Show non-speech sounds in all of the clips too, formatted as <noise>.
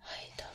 はい、どうも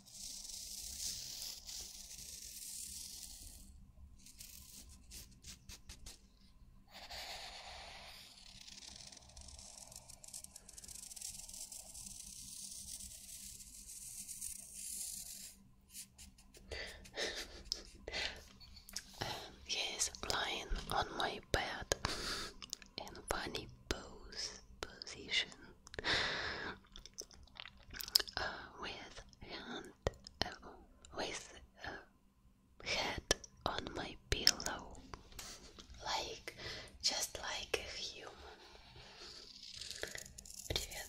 um, <laughs> he is lying on my bed in bunny pose position uh, with hand uh, with uh, head on my pillow, like just like a human. Привет.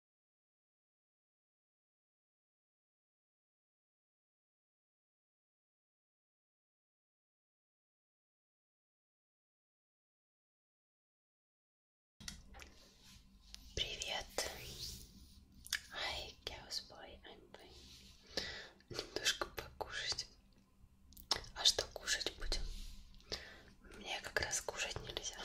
Привет! Hi, Chaosboy, I'm fine. Немножко покушать. А что кушать будем? Мне как раз кушать нельзя.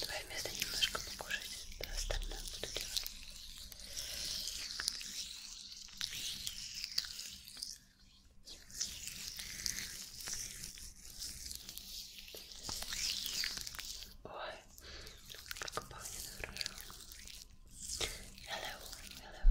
Твое место немножко покушать, да, остальное буду делать. Ой, как пахнет хорошо. Hello, hello.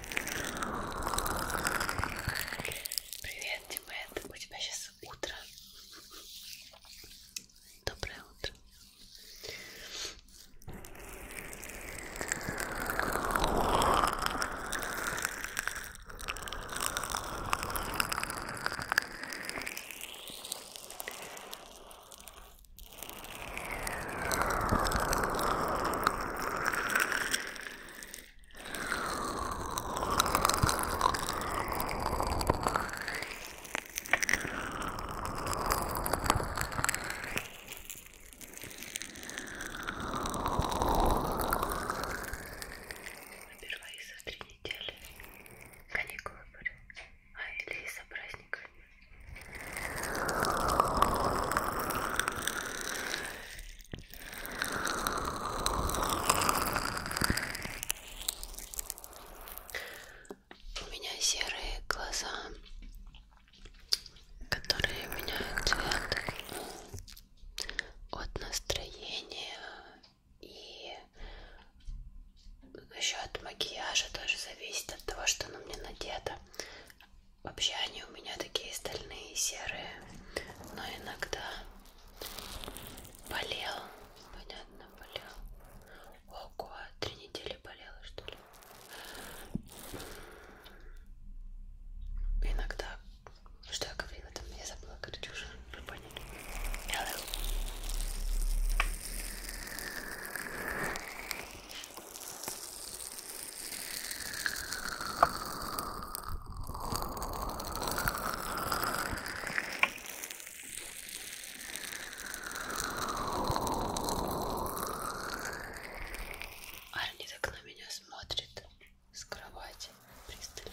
Привет, Тимет. У тебя сейчас утро. Доброе утро. Впервые за три недели каникулы были, а или из-за праздника. У меня серые глаза, которые меняют цвет от настроения и еще от макияжа тоже зависит от того, что на мне надето. Вообще они у меня такие стальные, серые, но иногда болел, понятно, болел. Ого, три недели болела, что ли? Иногда, что я говорила, там я забыла, короче, уже вы поняли. Hello. Арни так на меня смотрит с кровати пристально.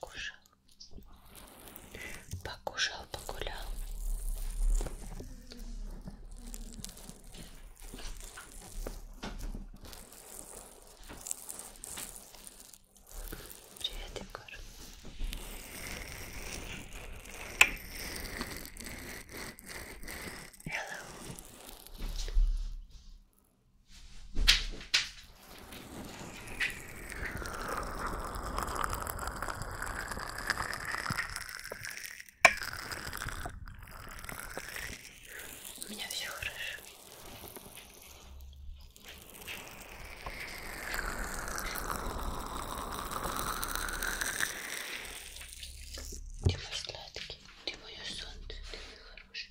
покушал. Покушал, погулял. Привет, Егор. Hello. У меня все хорошо. Ты мой сладкий, ты мое солнце, ты мой хороший.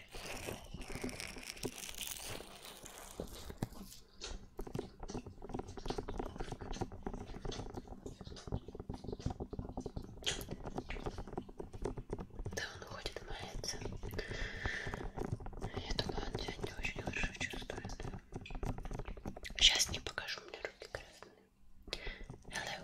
Да, он уходит мается. Я думаю, он себя не очень хорошо чувствует. Сейчас не покажу, мне руки красные. Hello.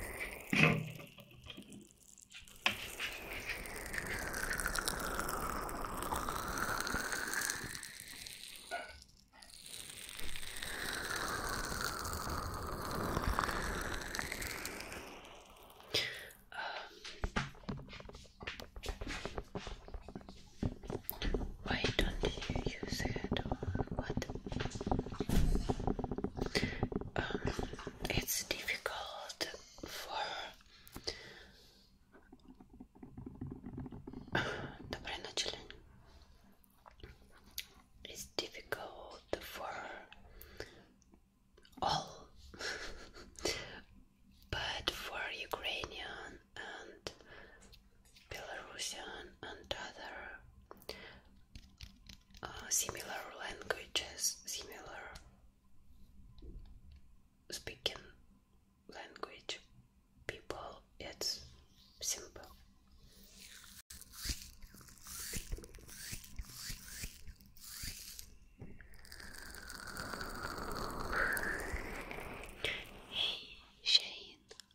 Um, why don't you use it or what? Um, it's difficult for Доброй ночи, It's difficult for all, <laughs> but for Ukrainian and Belarusian and other uh, similar languages, similar speaking language people, it's simple. Hey Shane,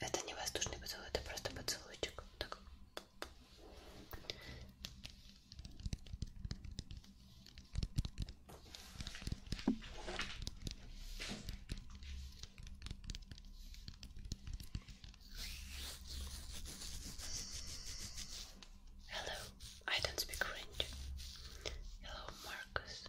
Это не воздушный поцелуй, это просто поцелуйчик. Так. Hello, I don't speak French. Hello, Marcus.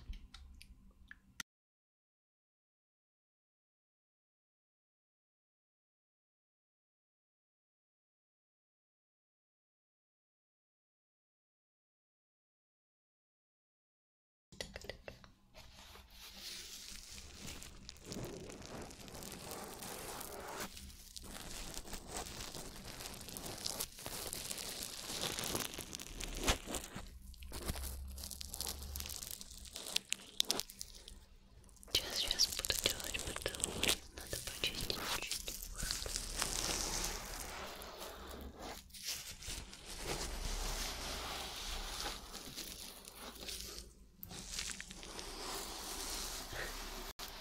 Сейчас, сейчас буду делать потолок. Надо почистить чуть-чуть.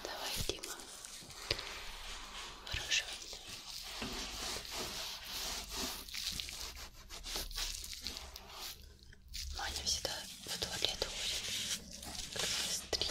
Давай, Дима. Хорошо. Маня всегда в туалет уходит. Как стрим.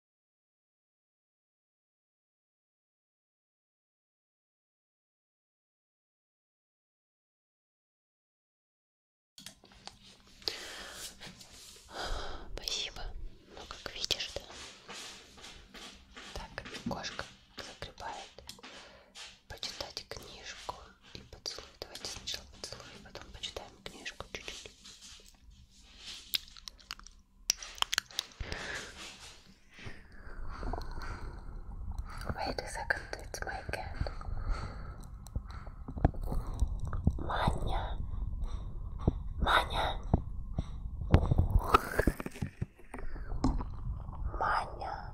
Спасибо. Ну, как видишь, да? Так, кошка закрепает. Почитать книжку и поцелуй. Давайте сначала поцелуем, потом почитаем книжку чуть-чуть. Wait a second, it's my cat. Manya. Manya. Manya.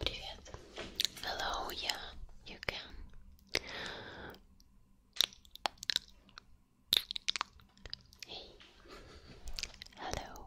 Привет. Hello, yeah, you can. Hey. Hello.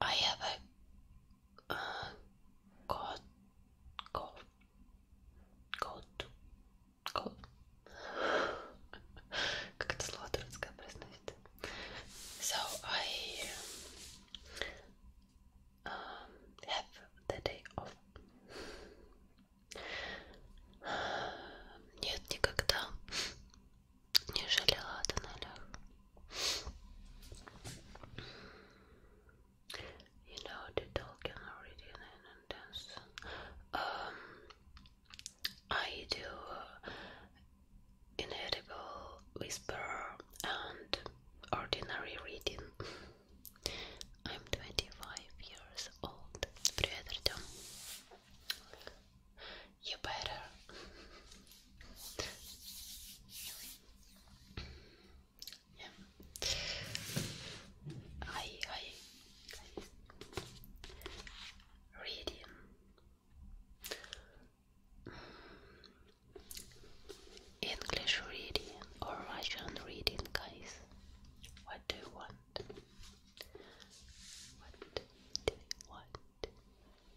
I have a uh, cold, cold, cold, cold. Как это слово турецкое произносит? So I um, have the day off. Нет, никогда не жалела о тоннелях. You know the Tolkien already in an intense. I do uh, whisper and ordinary reading. I'm 25 years old. Привет, you better. yeah. I I, reading. English reading or Russian reading, guys? What do you want? What do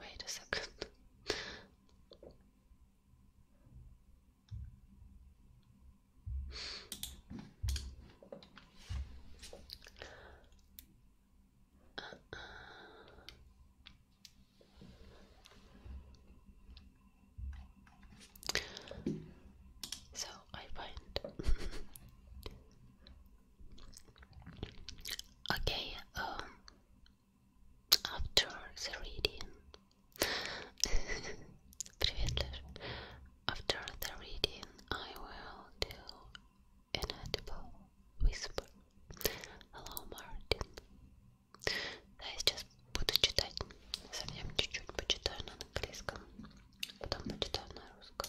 Wait a second. Uh-uh. So I find <laughs> okay. Um, after the reading, <laughs> After the reading, I will do an audible whisper. Hello, Martin. Да, я сейчас буду читать. Совсем чуть-чуть почитаю на английском, потом почитаю на русском.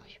Ой.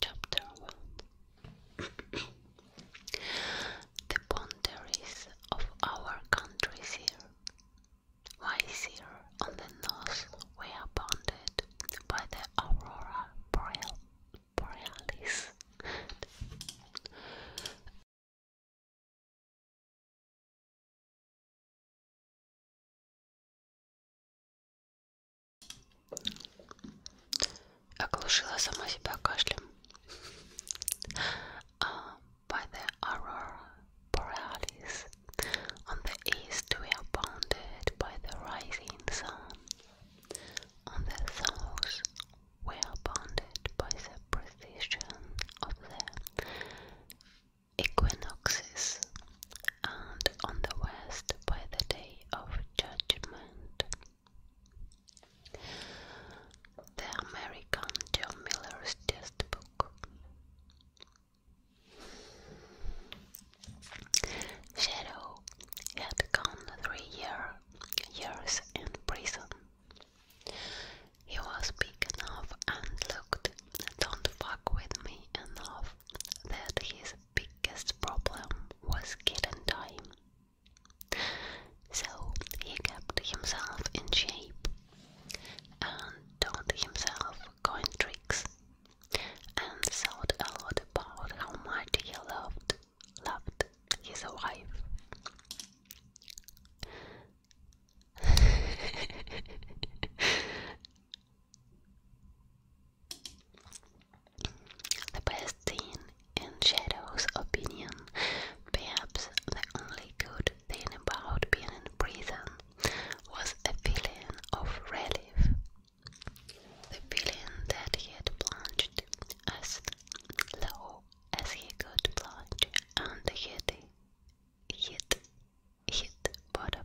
Chapter 1 The boundaries of our country here. Why here on the north we are bounded by the aurora borealis by the aurora borealis on the east we are bounded by the rising sun. On the south we are bounded by the precession of the equinoxes and on the west by the day of judgment. The American John Miller's Test Book. Shadow had gone three year, years in prison. He was big enough and looked don't fuck with me enough that his biggest problem was getting time. So he kept himself in shape and taught himself coin tricks and thought a lot about how much he loved loved his wife. <laughs> The best thing, in Shadow's opinion, perhaps the only good thing about being in prison, was a feeling of relief. The feeling that he had plunged as low as he could plunge and hit, hit, hit bottom.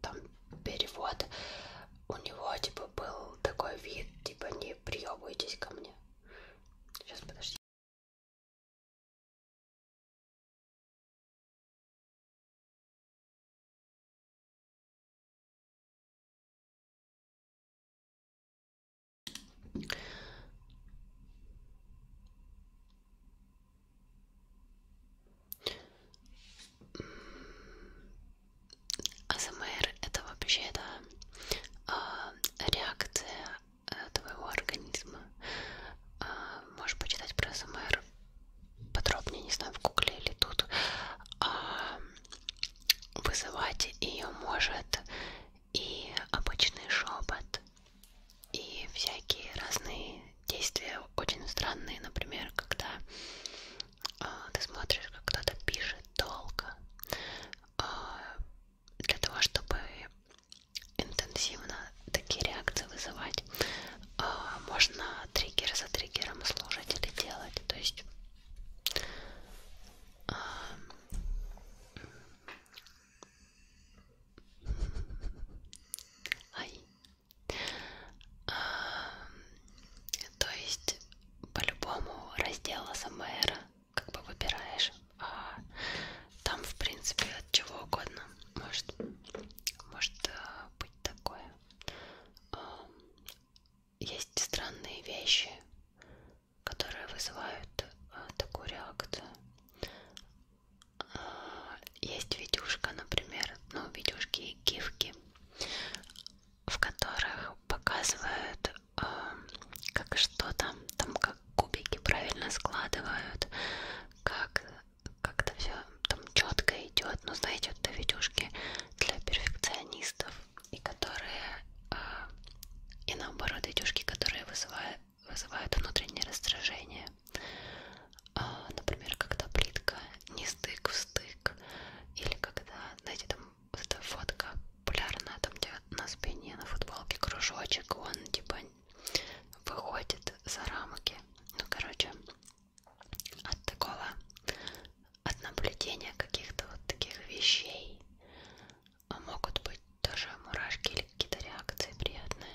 там перевод, у него типа был такой вид, типа не приебывайтесь ко мне. Сейчас подожди. АСМР это вообще да, э, реакция э, твоего организма. Э, можешь почитать про АСМР подробнее, не знаю, в гугле или тут. Э, вызывать ее может и обычный шепот, и всякие разные действия очень странные, например, когда а, ты смотришь, как кто-то пишет долго, а, для того, чтобы интенсивно такие реакции вызывать, а, можно триггер за триггером слушать или делать, то есть Ай, Эм, то есть по-любому раздел СМР как бы выбираешь, а там в принципе от чего угодно может, может э, быть такое. Эм, есть странные вещи, которые вызывают э, такую реакцию. Э, есть видюшка, например, ну видюшки и гифки, в которых показывают, э, как что-то, там как кубики правильно складывают, как как-то все там четко идет. Но ну, знаете, это видюшки для перфекционистов и которые э, и наоборот видюшки, которые вызывают вызывают внутреннее раздражение. А, например, когда плитка не стык в стык, или когда, знаете, там вот эта фотка популярная, там где на спине, на футболке кружочек, он типа выходит за рамки. Ну, короче, от такого, от наблюдения каких-то вот таких вещей могут быть тоже мурашки или какие-то реакции приятные.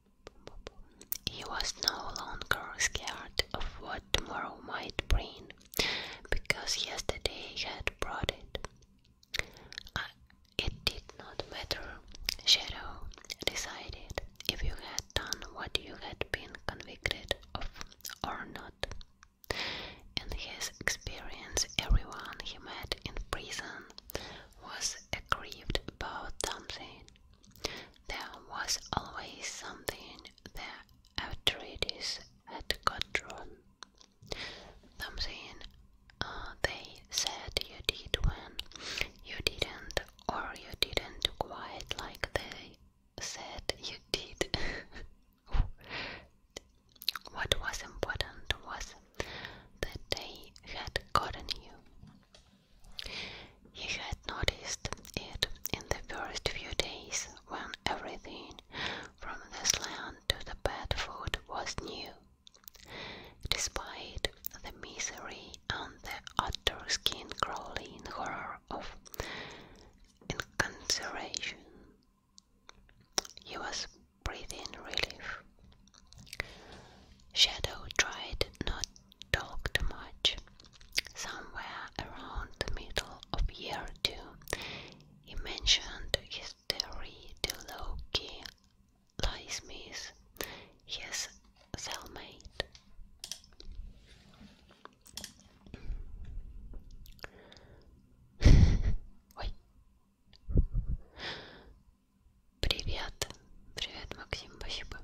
He was no longer scared of what tomorrow might bring, because yesterday had brought it. Uh, it did not matter, Shadow decided, if you had done what you had been convicted of or not. In his experience, everyone he met in prison was aggrieved about something. There was always something the authorities had got wrong. Something uh, they said you did when you didn't, or you didn't quite like they said you did. <laughs> what was important was that they had gotten you. He had noticed it in the first few days when everything from the slant to the bad food was new. Despite the misery and the utter skin crawling horror of incarceration, he was breathing relief. Shadow tried not to talk too much. Somewhere around the middle of year two, he mentioned his theory to Loki Lysmith, his cellmate. <laughs> Привет. Привет, Максим, спасибо.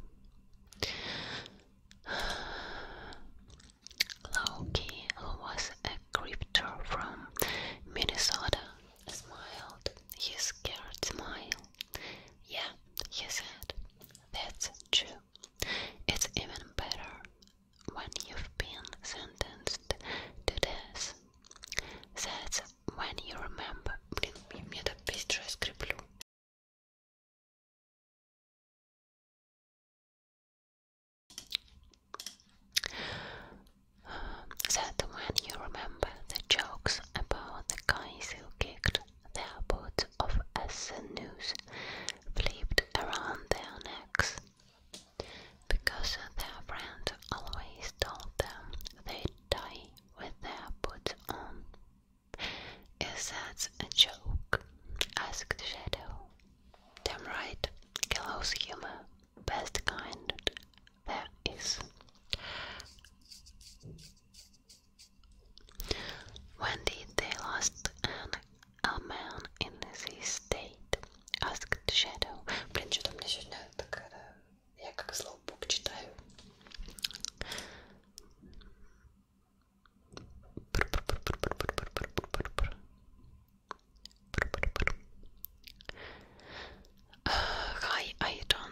Loki, who was a cryptor from Minnesota, smiled. His scared smile. Yeah, he said. That's true. It's even better when you've been sentenced to this." That's when you remember... Блин, я так быстро That when you remember the jokes about the guys who kicked their boots off as the noose flipped around their necks, because their friend always told them they'd die with their boots on. Is that a joke? asked Shadow. Damn right, gallows humor, best kind there is. When did they last an a man in this state? asked Shadow. Блин, что-то мне uh, hi, I don't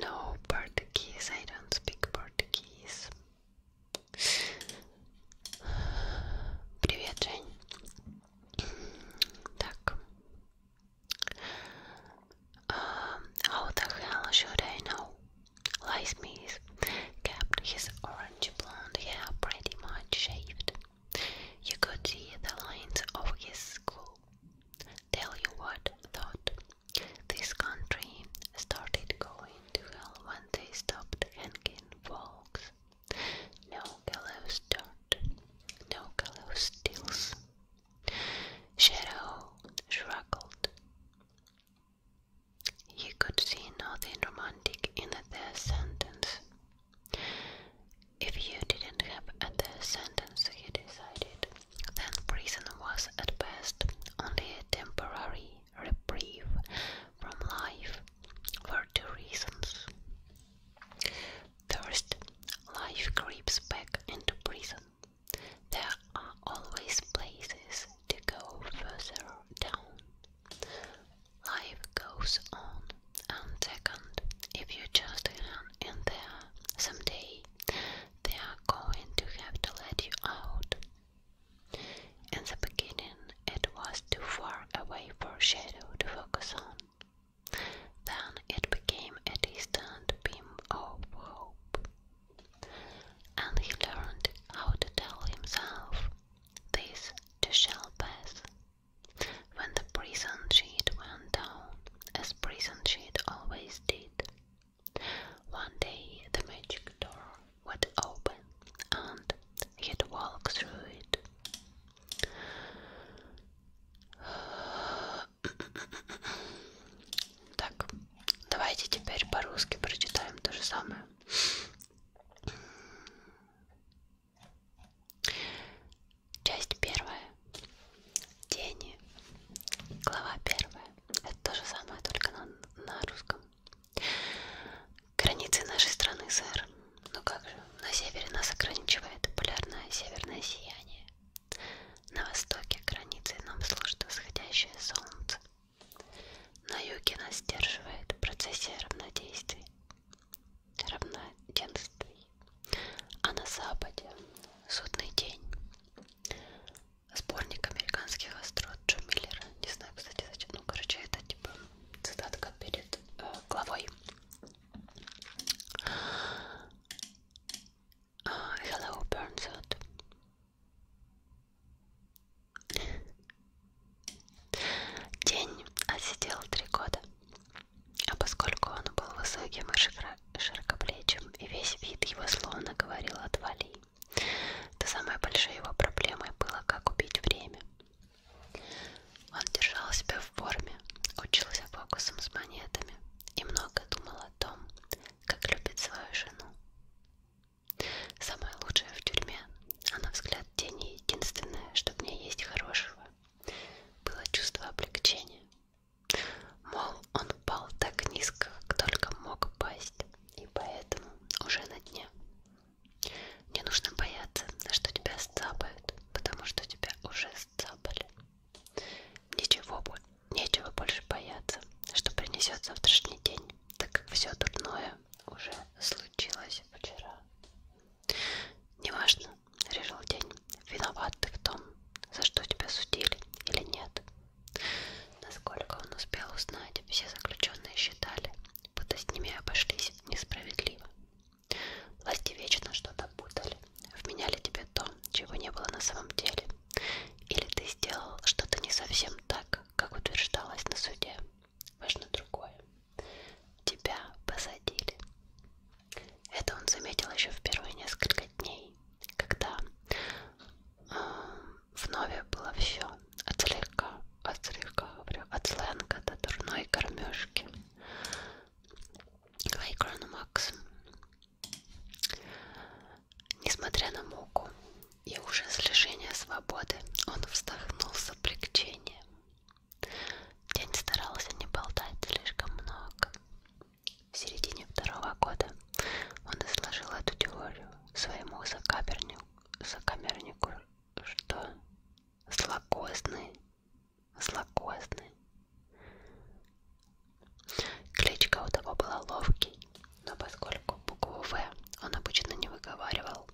know Portuguese. I don't speak Portuguese. Привет, Жень. Так. Um, how the hell should I know? Lysmith kept his orange blonde hair pretty much shaved. You could see the lines of his skull. Tell you what, thought. This country started going to hell when they stopped hanging folks. No gallows don't. no gallows deals. Shadow shrugged. He could see nothing romantic in a death sentence. If you didn't have a death sentence, he decided, then prison was at best only a temporary reprieve from life for two reasons. First, life creeps back into prison. There are always places to go further down. Life goes on, and second, if you just hang in there someday, they are going to have to let you out. In the beginning, it was too far away for Shadow to focus on. Then it became a distant beam of hope and he learned how to tell himself, This to shall pass. When the prison sheet went down, as prison sheet always did, one day the magic door would open and he'd walk through it. Так, давайте теперь по-русски прочитаем то же самое. Часть первая. Тени. Глава первая. Это то же самое, только на, на русском. Границы нашей страны, сэр. Ну как же, на севере нас ограничивает полярное северное сияние. На востоке границей нам служит восходящее солнце. На юге нас сдерживает в процессе равнодействий, равноденствий. А на западе судный день. Сборник американских острот Джо Миллера. Не знаю, кстати, зачем. Ну, короче, это типа цитатка перед э, главой. Uh, hello, Burnside. День отсидел три года, а поскольку он был высоким и широкоплечим, и весь вид его словно говорил «отвали», то самой большой его проблемой было, как убить время. Он держал себя в форме, учился фокусом с монетами и много думал о том, как любит свою жену. Самое лучшее в тюрьме, а на взгляд тени единственное, что в ней есть хорошего, было чувство облегчения. Мол, он пал так низко, как только мог пасть, и поэтому уже на дне. Не нужно бояться, что тебя сцапают, потому что тебя уже сцапали. Ничего, нечего больше бояться, что принесет завтрашний день, так как все дурное уже случилось вчера. Неважно, решил день, виноват ты в том, за что тебя судили или нет. Насколько он успел узнать, все заключенные считали, будто с ними обошлись несправедливо. Власти вечно что-то путали, вменяли тебе то, чего не было на самом деле, или ты сделал что-то не совсем так, как утверждалось на суде. Важно другое. Тебя посадили. Это он заметил еще в первые несколько дней, когда э, вновь было все от слегка, от слегка, говорю, от сленга до дурной кормежки. Лайкрону Макс. Несмотря на муку и ужас лишения свободы, он вздохнул с облегчением. День старался не болтать слишком много. В середине второго года он изложил эту теорию своему сокамернику, сокамернику что злокозный, злокозный Кличка у того была ловкий, но поскольку букву «В» он обычно не выговаривал,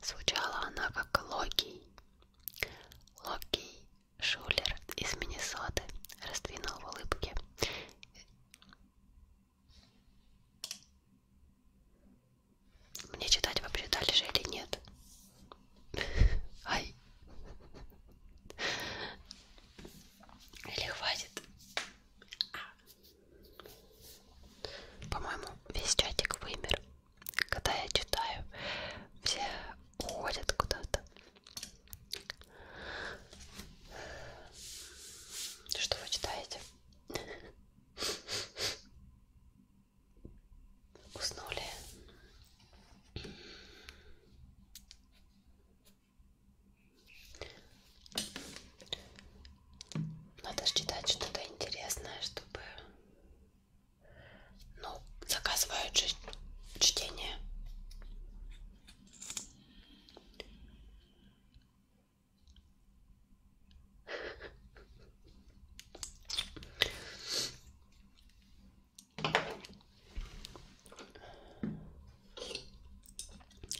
звучала она как «Локий». Локий Шулер из Миннесоты раздвинул в улыбке мне читать вообще дальше или нет? <laughs> Ай. Или хватит? По-моему, весь чатик вымер. Когда я читаю, все уходят куда-то. Что вы читаете? Уснули. Надо читать что-то интересное, чтобы... Ну, заказывают же чтение.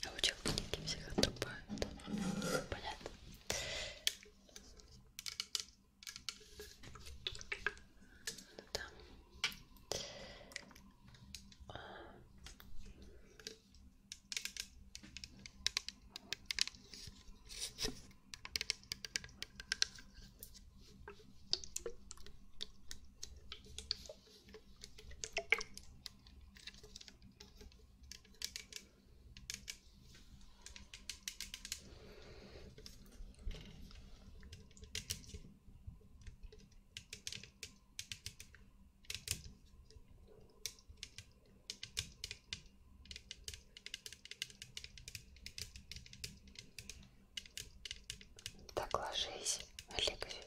А в учебнике всех отрубают. Понятно. Да. Так ложись, легче.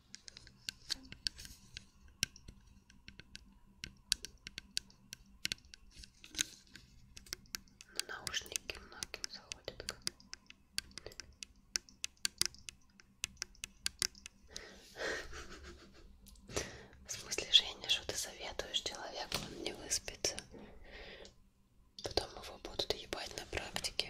Но ну, наушники многим заходят как в смысле, Женя, что ты советуешь человеку, он не выспится. Потом его будут ебать на практике.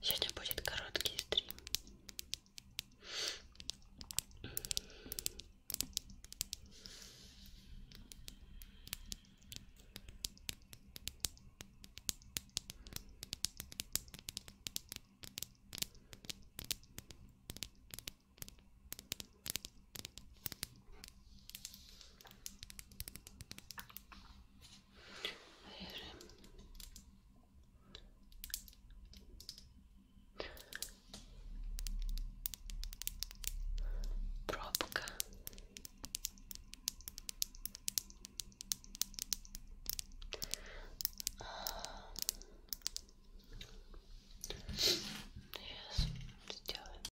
Сегодня будет короткий стрим. Режем. Пробка. Сейчас сделаем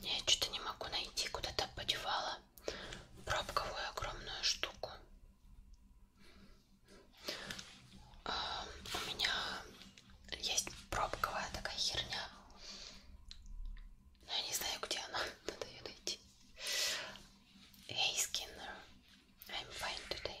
Я что-то не могу найти, куда-то подевала пробковую огромную штуку. А, у меня есть пробковая такая херня. Но ну, я не знаю, где она. <laughs> Надо ее найти. Hey Skinner, I'm fine today.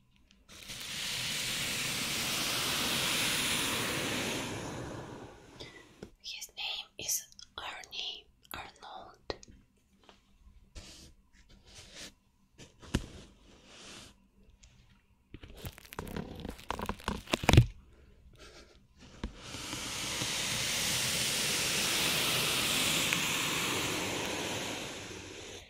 His name is Arnie Arnold.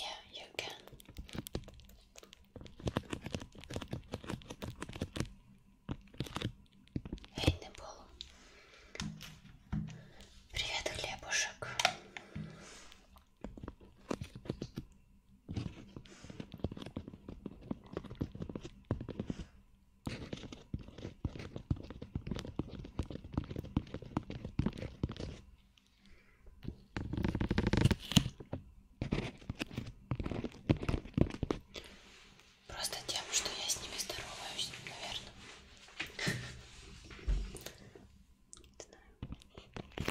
Yeah, you can. Эй, Небол. Привет, хлебушек. Просто тем, что я с ними здороваюсь, наверное. Не знаю.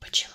Почему?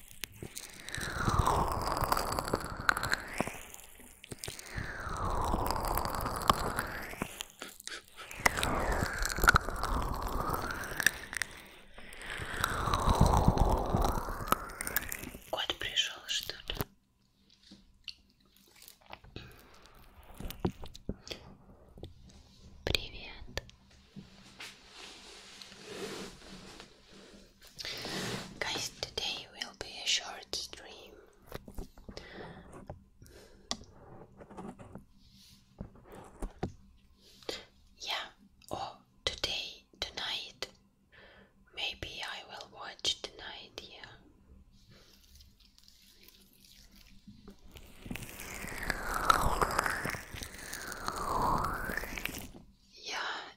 Кот пришел, что ли? Привет. Guys, today will be a short stream. Yeah, or oh, today, tonight. Maybe I will watch tonight, yeah. Yeah,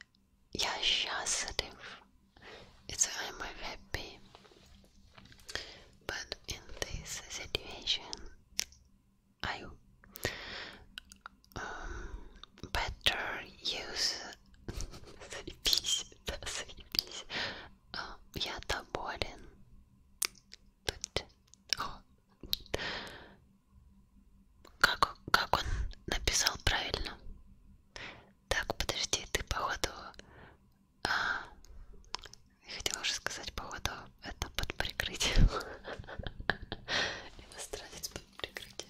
я счастлив. It's I'm happy. But in this situation, I um, better use заебись, да, заебись. Uh, я доволен. Тут. О. Как, как он написал правильно? Так, подожди, ты походу... А, я хотела уже сказать, походу, это под прикрытием. <laughs> Иностранец под прикрытием.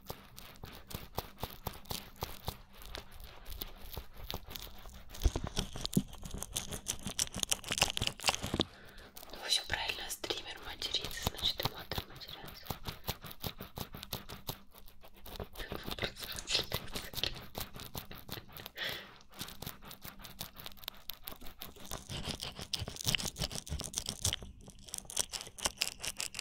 Ну, все правильно, стример матерится, значит и модер матерятся.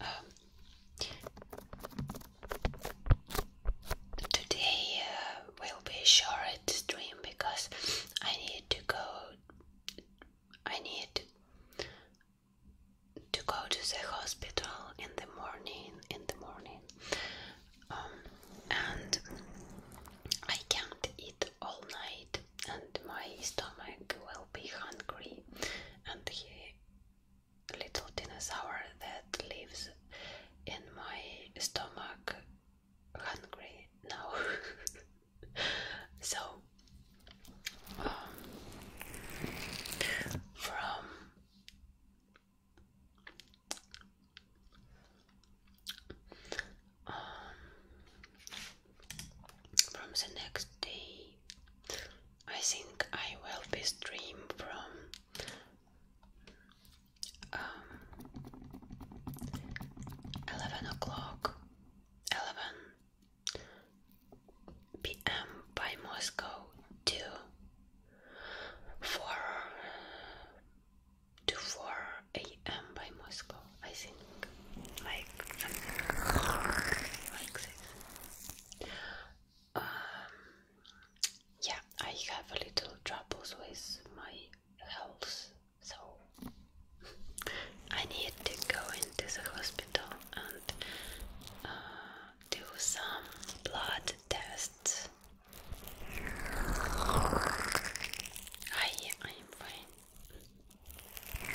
Um, today uh, will be short stream because I need to go. I need to go to the hospital in the morning. In the morning, um, and I can't eat all night, and my stomach will be hungry, and he little dinosaur that lives in my stomach hungry now. <laughs> so, um, from um, from the next day I think I will be stream from um, eleven o'clock, eleven p.m. by Moscow to four to four a.m. by Moscow. I think like um, yeah, I have a little troubles with my health, so I need to go into the hospital and uh, do some blood tests. I am fine.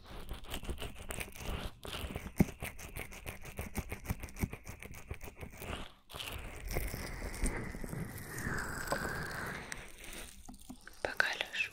Пока лежу.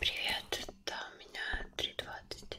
Привет, это у меня три двадцать.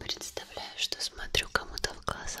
Представляю, что смотрю кому-то в глаза.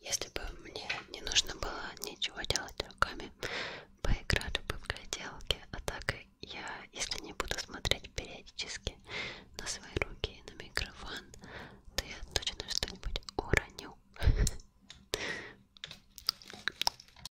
Если бы мне не нужно было ничего делать руками, поиграли бы в гляделки, а так я, если не буду смотреть периодически на свои руки и на микрофон, то я точно что-нибудь уроню. <laughs>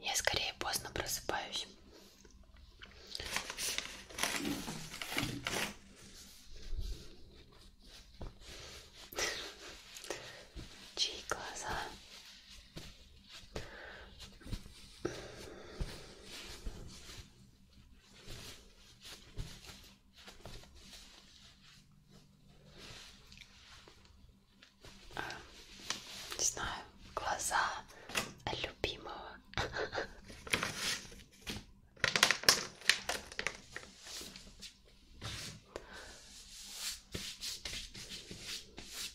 Я скорее поздно просыпаюсь. Чьи глаза не знаю, глаза любимого.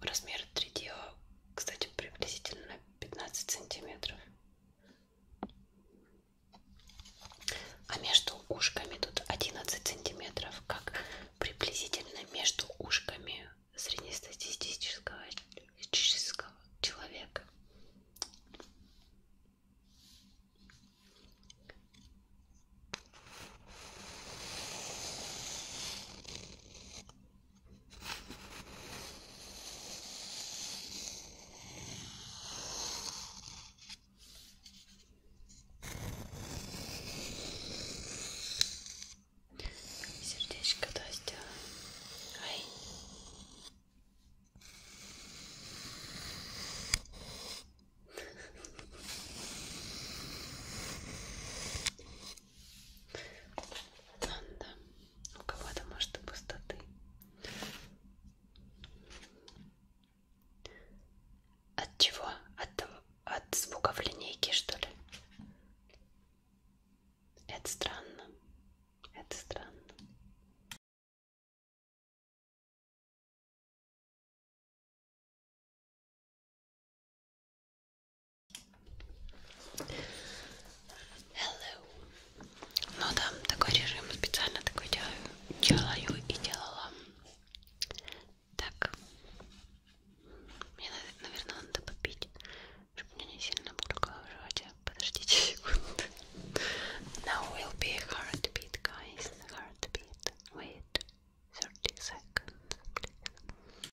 Размер 3 дела, кстати, приблизительно 15 сантиметров. А между ушками тут 11 сантиметров, как приблизительно между ушками среднестатистического человека. Сердечко да сделаем. Ай. Ладно, у кого-то может и пустоты. От чего? От, от звуков линейки, что ли? Это странно. Это странно. Hello. Ну да, такой режим специально такой делаю, делаю и делала. Так, мне, наверное, надо попить, чтобы меня не сильно буркало в животе. Подождите секунду. Now will be heartbeat, guys. Heartbeat. Wait 30 seconds, please.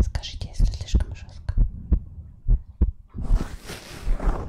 Скажите, если слишком жестко. Хорошо.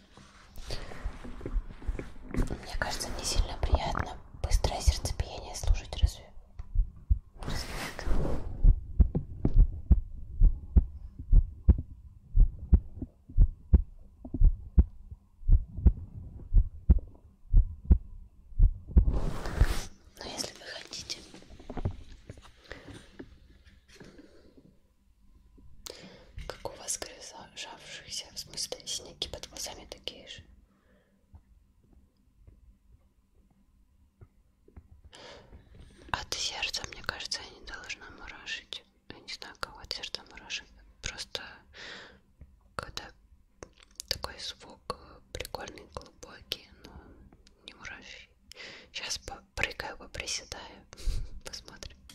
Мне кажется, мне сильно приятно быстрое сердцебиение слушать разве? разве так? Но если вы хотите, как у вас крыса сжавшихся, в смысле синяки под глазами такие же. От сердца, мне кажется, я не должна мурашить. Я не знаю, кого от сердца мурашить. Просто когда такой звук прикольный, глубокий, но ну, не мураши. Сейчас попрыгаю, поприседаю, <laughs> посмотрим.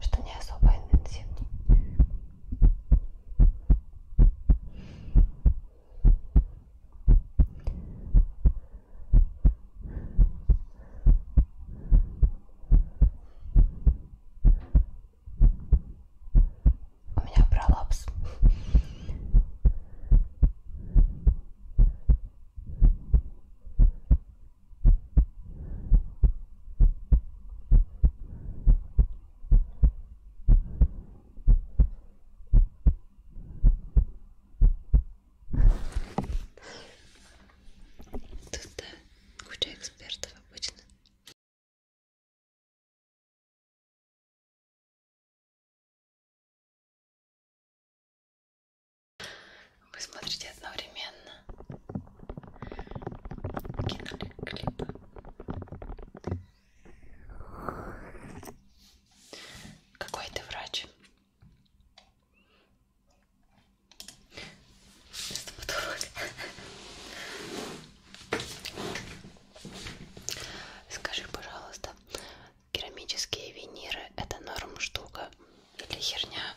что не особо интенсивно. У меня пролапс. Тут да, куча экспертов обычно. Вы смотрите одновременно киноклипы. Какой ты врач? Стоматолог. Скажи, пожалуйста, керамические виниры это норм штука или херня?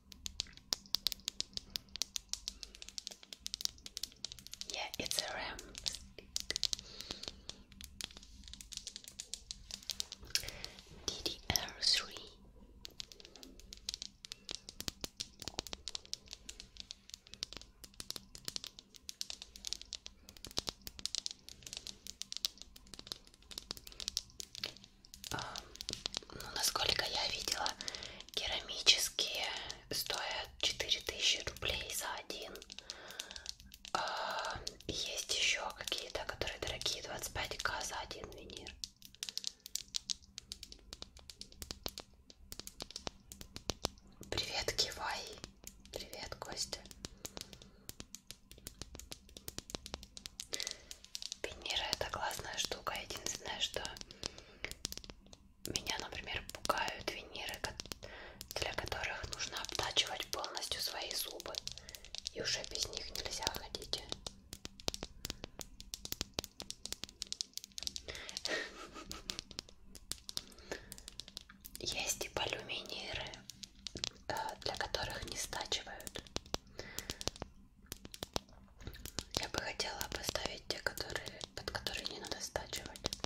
yeah, it's a ram stick. DDR3. ну, насколько я видела, керамические стоят 4000 рублей за один. Есть еще какие-то, которые дорогие, 25к за один винир. Привет, Кивай. Привет, Костя. Венера это классная штука. Единственное, что меня, например, пугают венеры, для которых нужно обтачивать полностью свои зубы. И уже без них нельзя ходить. Есть и полюминиры, э, для которых не стачивают. Я бы хотела поставить те, которые, под которые не надо стачивать.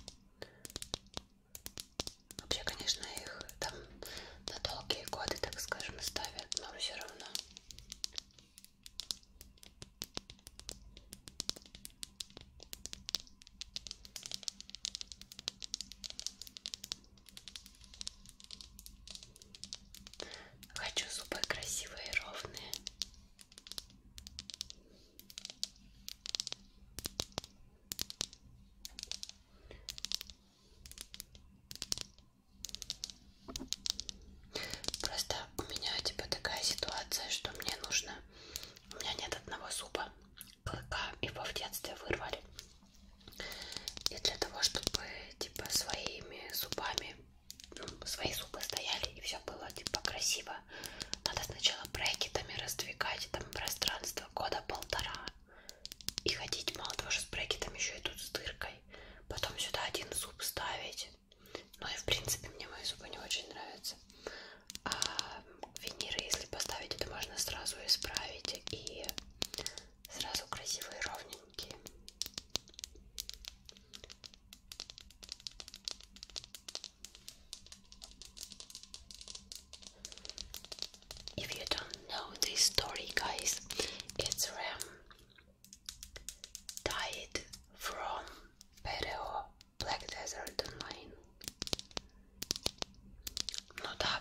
Вообще, конечно, их там на долгие годы, так скажем, ставят, но все равно. Хочу зубы красивые и ровные. Просто у меня типа такая ситуация, что мне нужно... У меня нет одного зуба, клыка, его в детстве вырвали. И для того, чтобы типа своими зубами свои зубы стояли и все было типа красиво. Надо сначала брекетами раздвигать там пространство года полтора и ходить мало того, что с брекетом еще идут с дыркой. Потом сюда один зуб ставить. Ну и в принципе мне мои зубы не очень нравятся. А виниры, если поставить, это можно сразу исправить и сразу красивые ровненькие. If you don't know this story, guys, it's Ram died from Pereo Black Desert Online. No, да.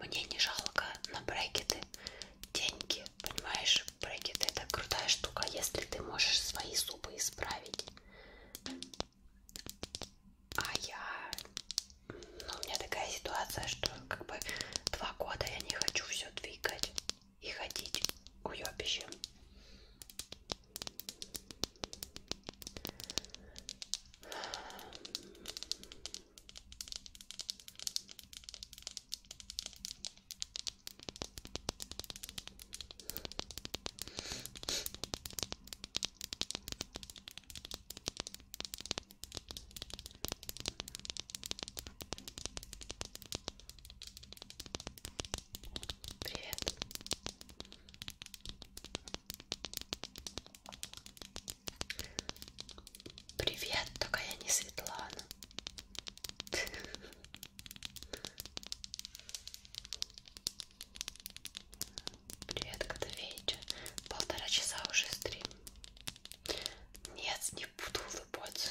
Мне не жалко на брекеты деньги, понимаешь? Брекеты это крутая штука, если ты можешь свои зубы исправить. А я... Ну, у меня такая ситуация, что как бы два года я не хочу все двигать и ходить уебищем. Привет. Привет, только я не Светлана. Привет, Котовеича. Полтора часа уже стрим. Нет, не буду улыбаться.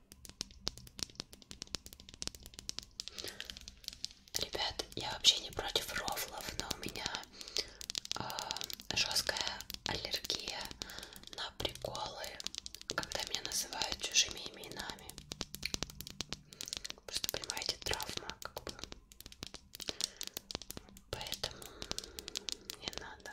Ребят, я вообще не против рофлов, но у меня э, жесткая аллергия на приколы, когда меня называют чужими именами. Просто понимаете, травма как бы. Поэтому не надо.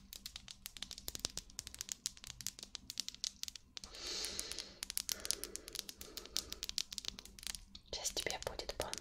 Сейчас тебе будет бан.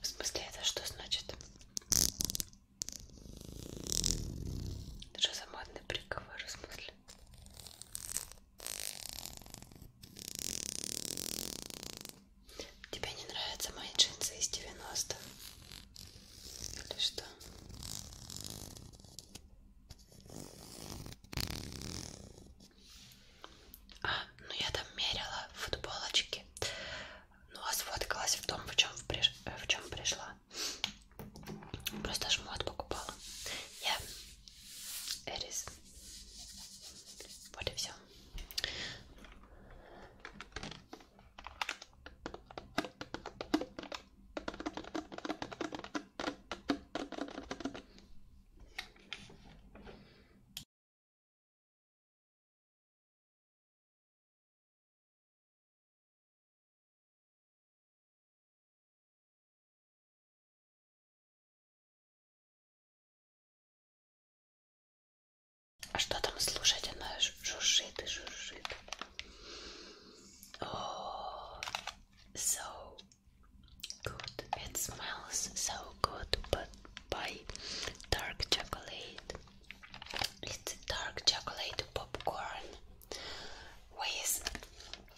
В смысле, это что значит? Это же замадный приговор, в смысле? Тебе не нравятся мои джинсы из 90-х? Или что? А, ну я там мерила футболочки. Ну а сфоткалась в том, в чем, в приш... в чем пришла. Просто шмот покупала. Я Эрис. Вот и все. А что там слушать? Она жужжит so good. It smells so good, but by dark chocolate. It's dark chocolate popcorn with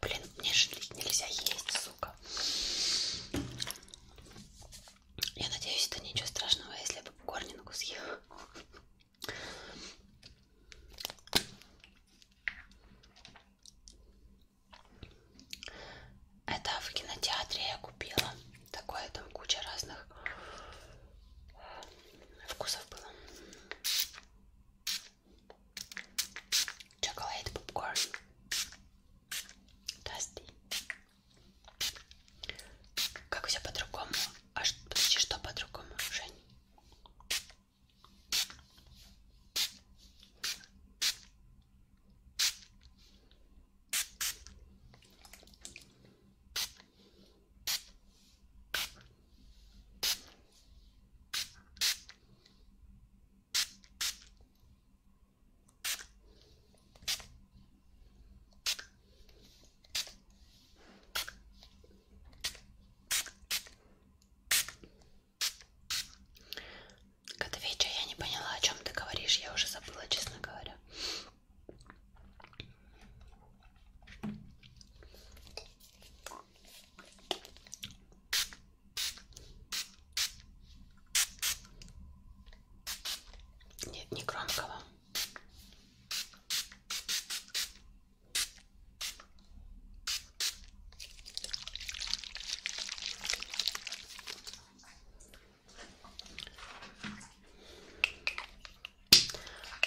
Блин, мне же нельзя есть, сука. Я надеюсь, это ничего страшного, если я попкорнинку съем. Это в кинотеатре я купила. Такое там куча разных вкусов было chocolate popcorn, Tasty. Как все по-другому? А подожди, что по-другому, Жень? Котовича, я не поняла, о чем ты говоришь, я уже забыла, честно говоря. Нет, не громкого.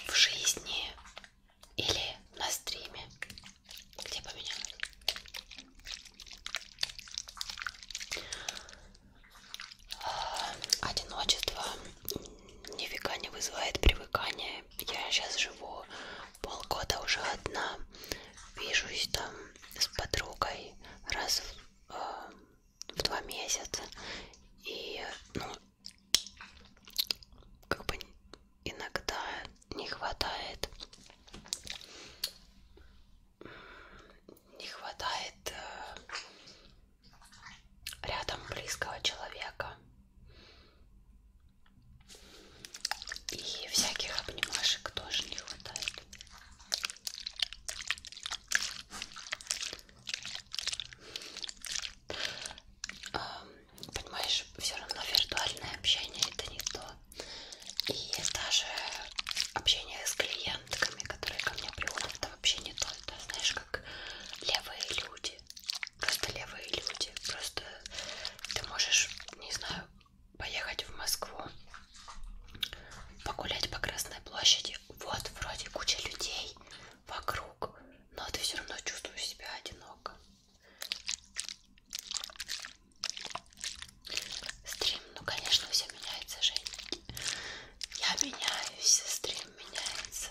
В жизни или на стриме, где бы меня а, одиночество нифига не вызывает привыкания. Я сейчас живу полгода уже одна, вижусь там с подругой раз в, э, в два месяца и ну как бы иногда не хватает не хватает э, рядом близкого человека и всяких обнимашек тоже не хватает понимаешь, все равно виртуальное общение это не то. И даже общение с клиентками, которые ко мне приходят, это вообще не то. Это, знаешь, как левые люди. Просто левые люди. Просто ты можешь, не знаю, поехать в Москву, погулять по Красной площади. Вот вроде куча людей вокруг, но ты все равно чувствуешь себя одиноко. Стрим, ну конечно, все меняется, Жень. Я меняюсь, стрим меняется.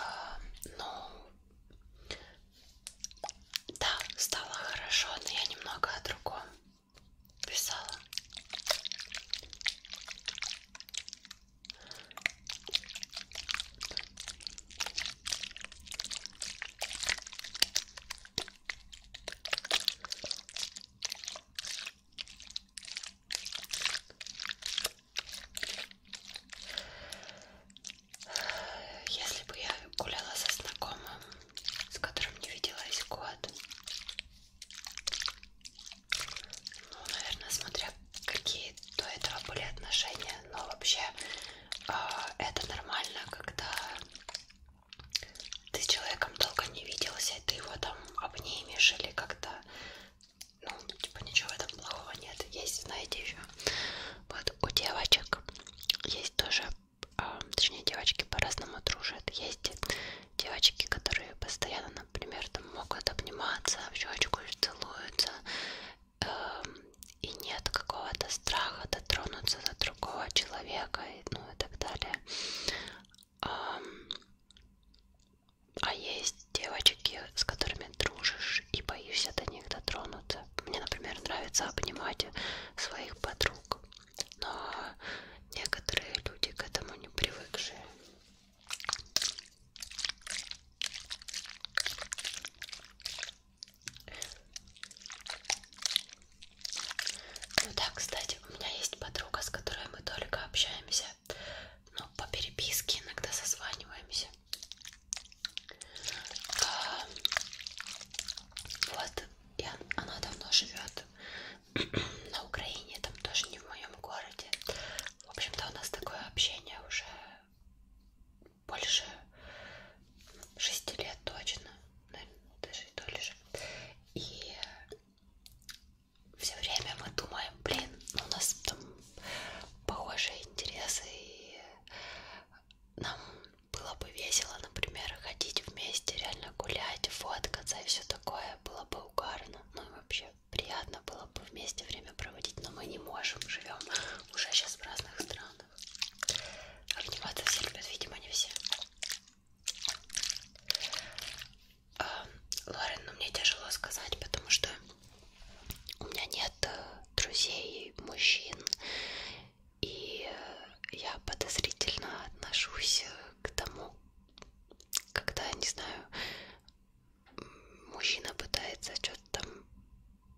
А, ну, да, стало хорошо, но я немного о другом писала. Если бы я гуляла со знакомым, с которым не виделась год, ну, наверное, смотря какие до этого были отношения, но вообще э, это нормально, когда ты с человеком долго не виделся, и ты его там обнимешь или как-то, ну, типа ничего в этом плохого нет. Есть, знаете, еще вот у девочек есть тоже, э, точнее, девочки по-разному дружат. Есть девочки, которые постоянно, например, там могут обниматься, в щечку целуются Эм, и нет какого-то страха дотронуться до другого человека, и, ну и так далее. Эм, а есть девочки, с которыми дружишь и боишься до них дотронуться. Мне, например, нравится обнимать своих подруг, но некоторые люди к этому не привыкшие. Ну да, кстати, у меня есть подруга, с которой мы только общаемся, но ну, по переписке иногда созваниваемся. А, вот, и она давно живет <clears throat> на Украине, там тоже не в моем городе. В общем-то, у нас такое общение уже больше шести лет точно, наверное, даже и то лишь. И все время мы думаем, блин, ну у нас там похожие интересы, и нам было бы весело, например, ходить вместе, реально гулять, фоткаться и все такое, было бы угарно, ну и вообще приятно приятно было бы вместе время проводить, но мы не можем, живем уже сейчас в разных странах. Обниматься все любят, видимо, не все. А, Лорен, ну мне тяжело сказать, потому что у меня нет э, друзей, мужчин, и э, я подозрительно отношусь э, к тому, когда, не знаю, мужчина пытается что-то там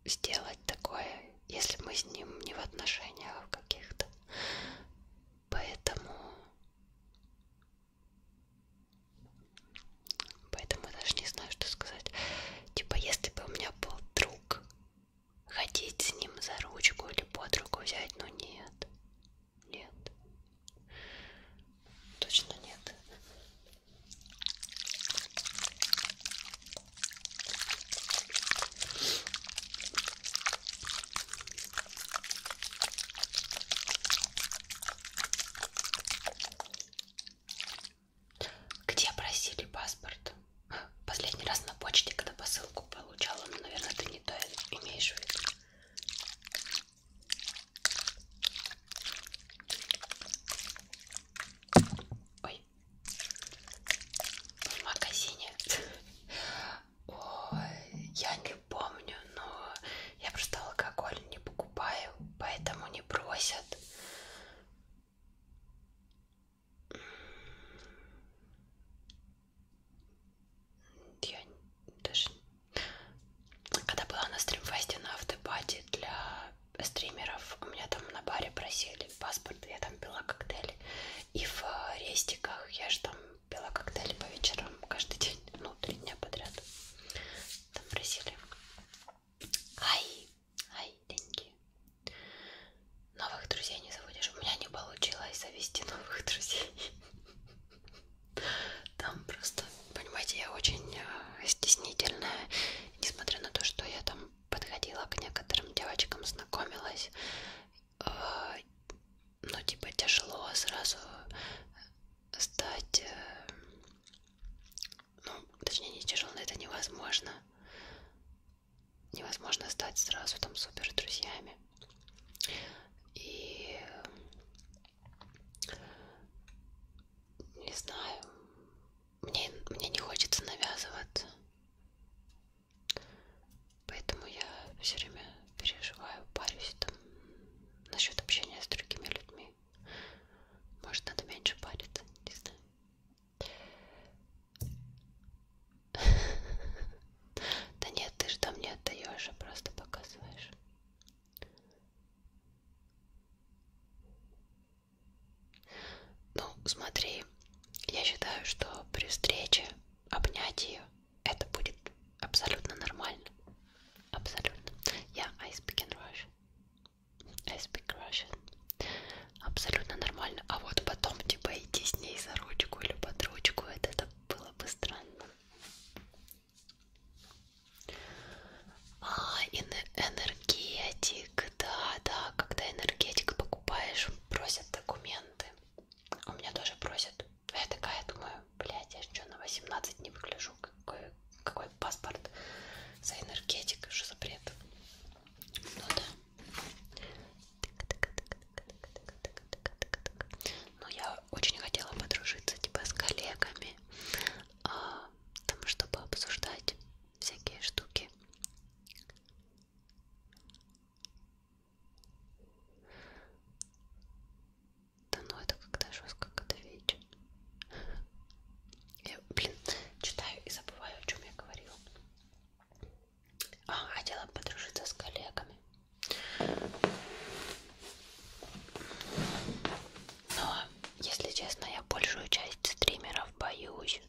сделать такое, если мы с ним не в отношениях каких-то. Поэтому... Поэтому я даже не знаю, что сказать. Типа, если бы у меня был друг, ходить с ним за ручку или под руку взять, но ну нет. Нет. Точно нет. Где просили паспорт? Последний раз на почте, когда посылку получала, но, наверное, ты не то имеешь в виду. Ой. В магазине. Ой, я не помню, но я просто алкоголь не покупаю, поэтому не просят. Я даже... Когда была на стримфасте на автопате для стримеров у меня там на баре просили паспорт, я там пила коктейли. И в э, рестиках я же там пила коктейли по вечерам каждый день, ну, три дня подряд. Там просили. Ай, ай, деньги. Новых друзей не заводишь. У меня не получилось завести новых друзей. Там просто, понимаете, я очень э, стеснительная несмотря на то, что я там подходила к некоторым девочкам, знакомилась, э, ну, типа, тяжело сразу стать, э, ну, точнее, не тяжело, это невозможно, невозможно стать сразу там супер друзьями. И не знаю, мне, мне не хочется навязываться. Поэтому я все время переживаю, парюсь там насчет общения с другими людьми. Может, надо меньше париться, не знаю. <laughs> Да нет, ты же там не отдаешь, а просто показываешь. Ну, смотри, я считаю, что при встрече обнять ее это будет абсолютно нормально. Абсолютно. Я I speak in Russian. I speak Russian. Абсолютно нормально. А вот потом, типа, идти с ней за ручку или под ручку, это, это было бы странно. А, энергетик, да, да, когда энергетик покупаешь, просят документы. А у меня тоже просят. Я такая думаю, блядь, я что, на 18 не выгляжу? Какой, какой паспорт за энергетик? Что за бред? Ну да. Ну, я очень хотела подружиться, типа, с коллегами, а, там, чтобы обсуждать всякие штуки. Да ну это когда жестко, когда вечер. Я, блин, читаю и забываю, о чем я говорила. А, хотела подружиться с коллегами. Но если честно, я большую часть стримеров боюсь.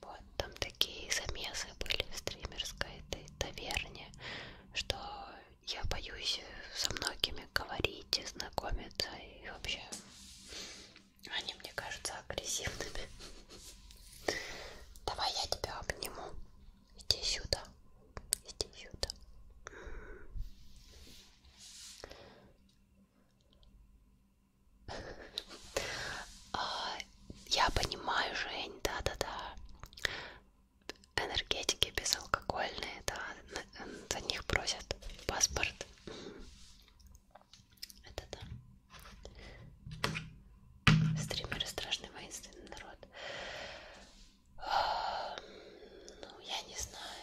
Вот, там такие замесы были в стримерской этой таверне, что я боюсь со многими говорить и знакомиться, и вообще они, мне кажется, агрессивными. Давай я тебя обниму. Иди сюда. Иди сюда. А, я понимаю, Жень, да-да-да. Энергетики безалкогольные, да, за них просят паспорт. Это да. Стримеры страшный воинственный народ. А, ну, я не знаю.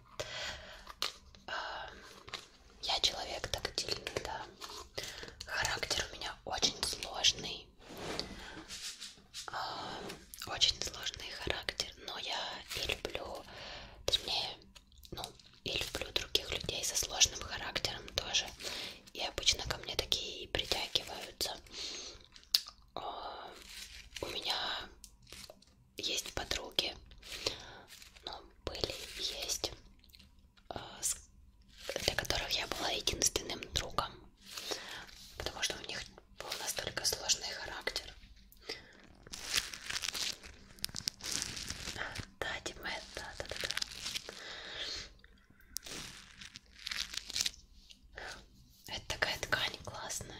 Я человек тактильный, да. Характер у меня очень сложный. А, очень сложный характер, но я и люблю, точнее, ну, и люблю других людей со сложным характером тоже. И обычно ко мне такие и притягиваются. А, у меня есть подруги, но были есть, э, для которых я была единственным другом, потому что у них был настолько сложный характер. Да, Димет, да, да, да, да. Это такая ткань классная.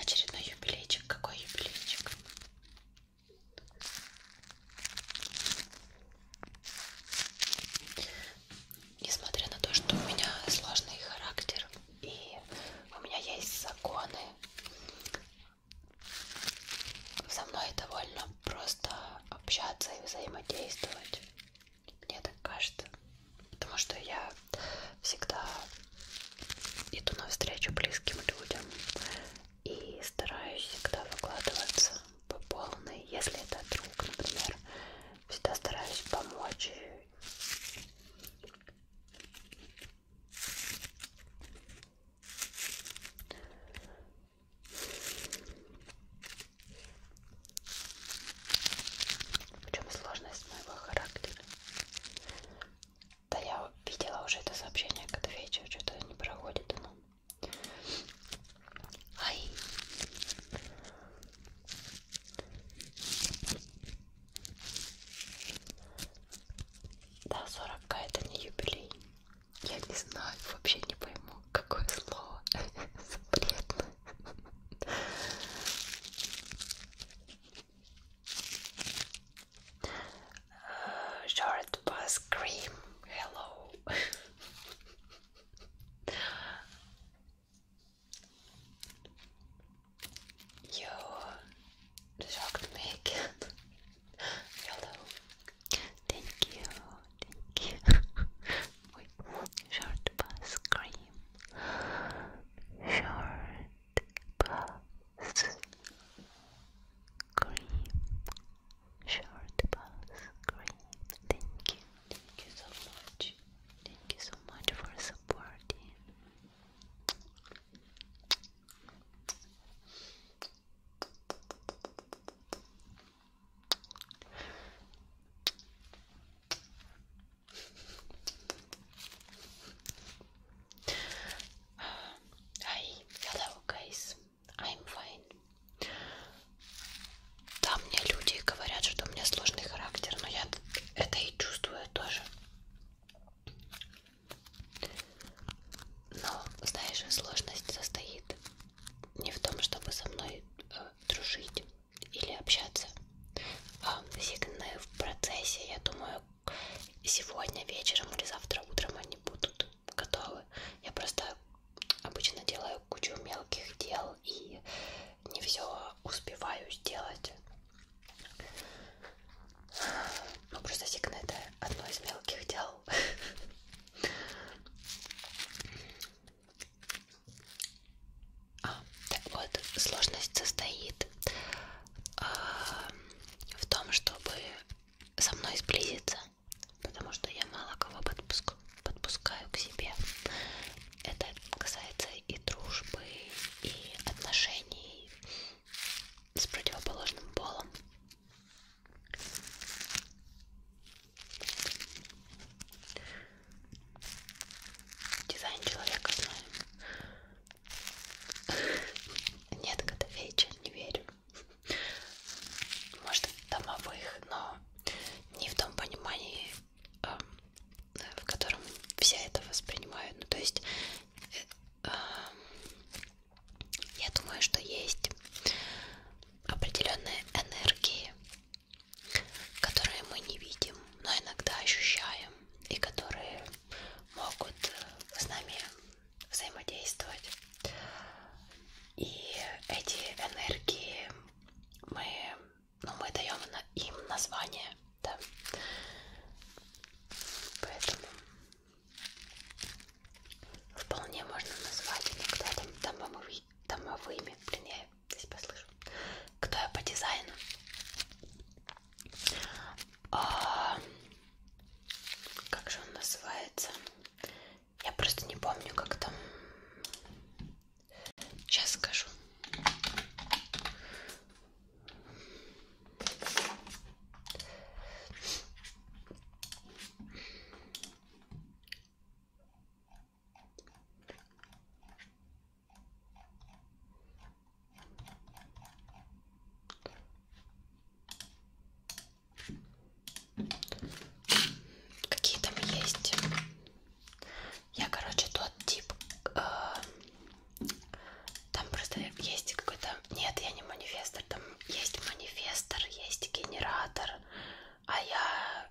Очередной юбилейчик. Какой юбилейчик? Несмотря на то, что у меня сложный характер и у меня есть законы, со мной довольно просто общаться и взаимодействовать. Мне так кажется. Потому что я всегда иду навстречу близким людям и стараюсь всегда выкладываться по полной. Если это друг, например, всегда стараюсь помочь. В чем сложность моего характера? Да я видела уже это сообщение к отвечу, что-то не проходит оно. Ай! Да, 40к это не юбилей. Я не знаю, вообще не пойму, какое слово <laughs> запретно. uh, short bus cream. Hello. you shocked me Hello. Thank you. Thank you. <laughs> Short bus cream. Short bus cream. Short bus cream. Thank you. Thank you so much. Thank you so much for supporting. Hi, hello guys, I'm fine. Да, мне люди говорят, что у меня сложный характер, но я это и чувствую тоже. Но, знаешь, сложность состоит не в том, чтобы со мной э, дружить, или общаться. Сигны в процессе, я думаю, сегодня вечером или завтра утром они будут готовы. Я просто обычно делаю кучу мелких дел и не все успеваю сделать. Ну, просто сигны это одно из мелких дел. А, так вот, сложность состоит э, в том, чтобы со мной сблизиться, потому что я мало кого подпуск, подпускаю к себе. Это касается и дружбы, и отношений с противоположным полом. Дизайн человека знаю. Нет, Котовейча, не верю. Может, домовых, но не в том понимании, эм, в котором все это воспринимают. Ну, то есть, э, эм, я думаю, что есть определенные энергии которые мы не видим, но иногда ощущаем, и которые могут э, с нами взаимодействовать. И эти энергии мы, ну, мы даем им название, да. Поэтому вполне можно назвать иногда там домовыми. Блин, я здесь послышу. Кто я по дизайну? А, как же он называется? Я просто не помню, как там. Сейчас скажу. Какие там есть? Я, короче, тот тип. Э, там просто есть какой-то... Нет, я не манифестор. Там есть манифестор, есть генератор. А я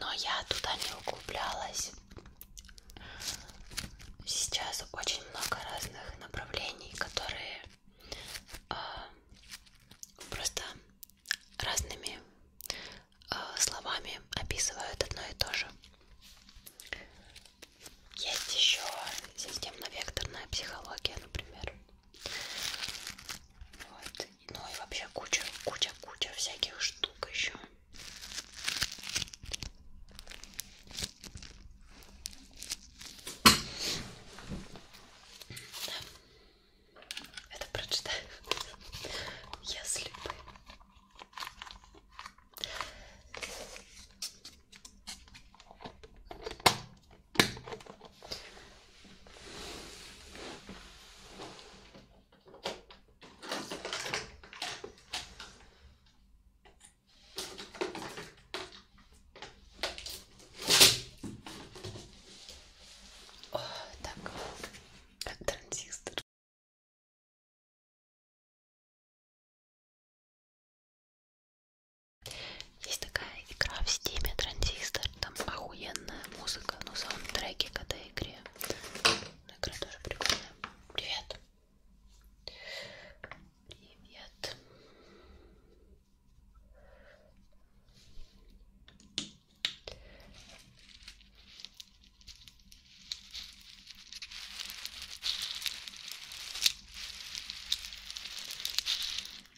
Но я туда не углублялась. Сейчас очень много разных направлений, которые э, просто разными э, словами описывают одно и то же. Есть еще системно-векторная психология, например. Вот. Ну и вообще куча, куча, куча всяких штук еще. Да. Это прочитаю. <laughs> Если бы. О, так, как транзистор. Есть такая игра в стиме Транзистор, там охуенная музыка, но саундтреки к этой игре. Но ну, игра тоже прикольная. Привет! Привет!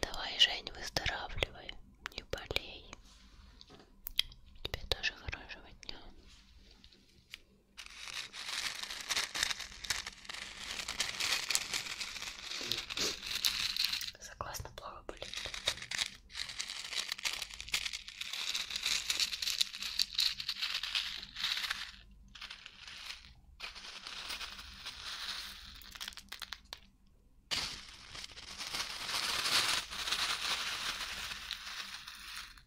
Давай, Жень, выздоравливай, не болей. Тебе тоже хорошего дня. Согласно плохо болит.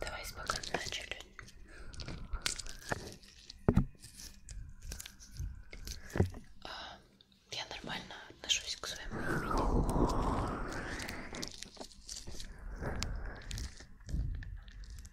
Давай спокойно начали. А, я нормально отношусь к своему имени.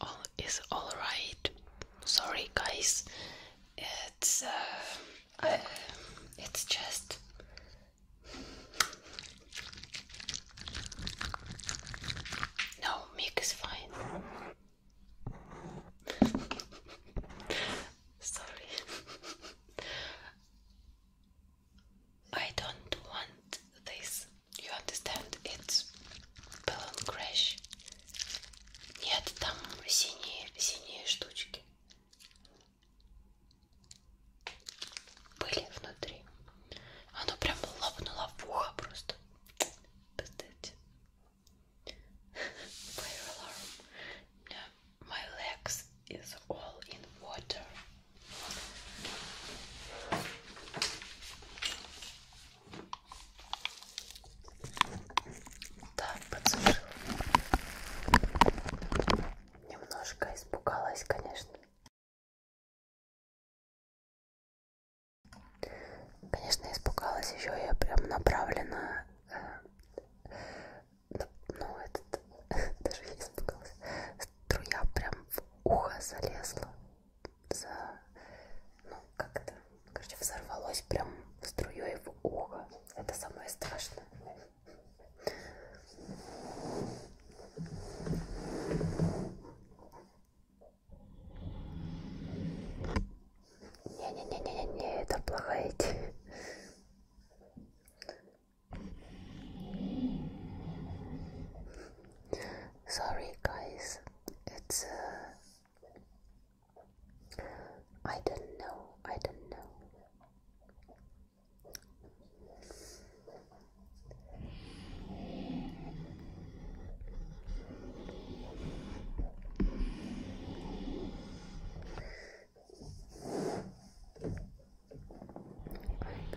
All all right. Sorry, guys. It's uh, it's just. No, Mick is fine. Sorry. I don't want this you understand? It's balloon crash. Нет, там синие, синие штучки были внутри. Оно прям лопнуло в ухо просто. Представьте. Fire alarm. No, my legs is all in water. Так, подсушила. Немножко испугалась, конечно. Конечно, испугалась еще я прям направленно. Э, ну, этот <laughs> даже я испугалась. Струя прям в ухо залезла за, ну, как-то, короче, взорвалось прям струей в ухо. Это самое страшное. Не-не-не-не-не, это плохая идея. Sorry, guys. It's. Uh, I don't know. I don't know.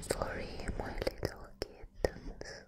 sorry, my little kittens.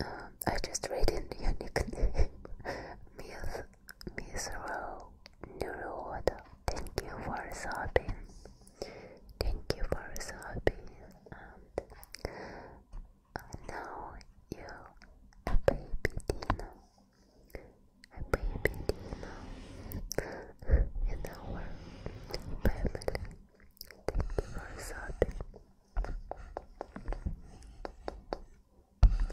Um, I just read in the nickname, <laughs> Miss Miss Row Neurowater. Thank you for subbing. Thank you for subbing. And uh, now you, a baby Dino. I a baby demon in our family. Thank you for sorting. Thank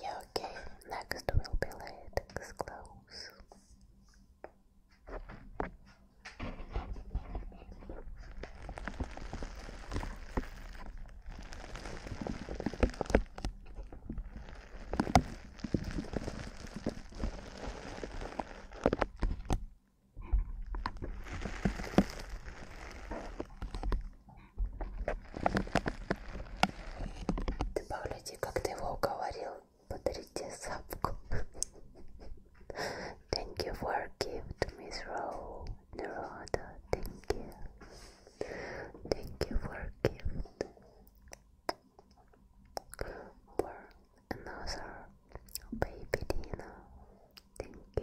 Yeah, okay, next will be latex gloves. Ты погляди, как ты его уговорил подарите сапку. Thank you for gift, Miss Ro Naroda. Thank you. Thank you for gift. For another baby Thank you.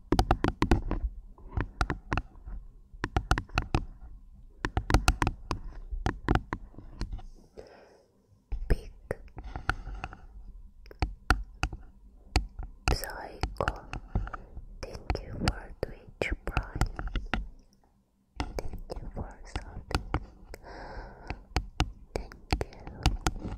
Big Psycho, thank you for Twitch Prime. Thank you for something. Thank you.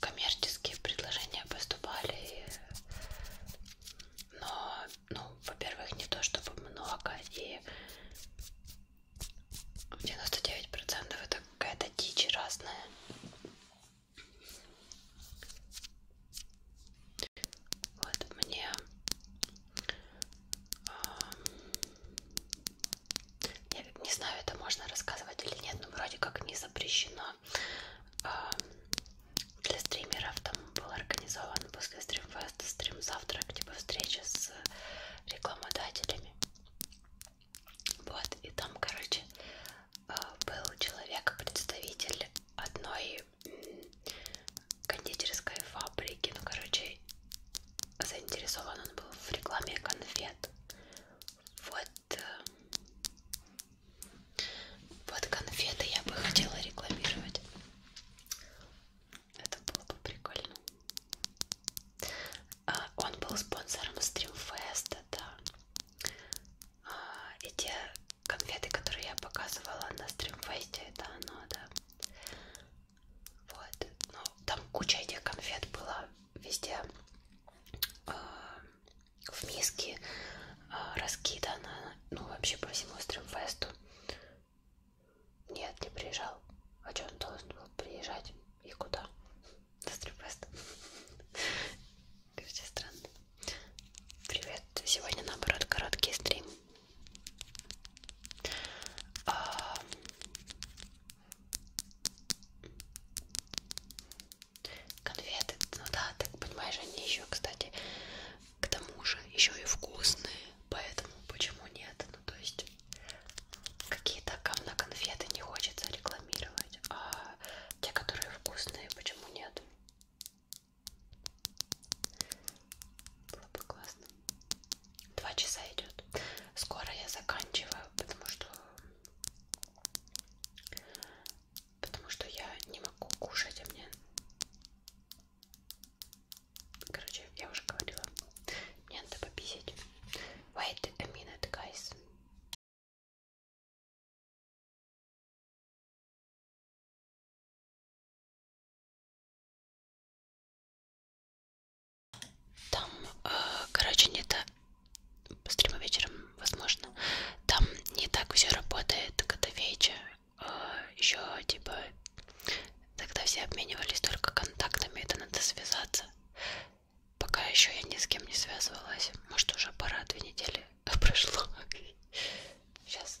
коммерческие предложения поступали, но, ну, во-первых, не то чтобы много, и 99% это какая-то дичь разная. Вот мне а, я не знаю, это можно рассказывать или нет, но вроде как не запрещено Эм, для стримеров там был организован после стримфеста стрим-завтрак, типа встреча с рекламодателями. Вот, и там, короче, э, был человек, представитель одной кондитерской фабрики, ну, короче, заинтересован он был в рекламе конфет. Вот э, вот конфеты я бы хотела рекламировать. Это было бы прикольно. А, он был спонсором стримфеста, да. А, и те конфеты, которые я показывала на стримфесте, это оно, да. Вот. Ну, там куча этих конфет была везде. А, в миске а, раскидано, ну вообще по всему стримфесту. Нет, не приезжал. А что он должен был приезжать? И куда? На стримфест. Короче, странно. Привет. Сегодня, наоборот, короткий стрим. А, конфеты, ну да, так понимаешь, они еще, кстати, к тому же еще и вкусные, поэтому почему нет, ну то есть какие-то говно конфеты не хочется рекламировать, а те, которые вкусные, почему нет? Было бы классно. Два часа идет. Скоро я заканчиваю, потому что потому что я не могу кушать, а мне... Короче, я уже говорила, мне надо пописать. Wait a minute, guys. Там, э, короче, нет стримы вечером, возможно. Там не так все работает, когда вечер. А, еще типа тогда все обменивались только контактами, это надо связаться. Пока еще я ни с кем не связывалась. Может уже пора, две недели <laughs> прошло. Сейчас.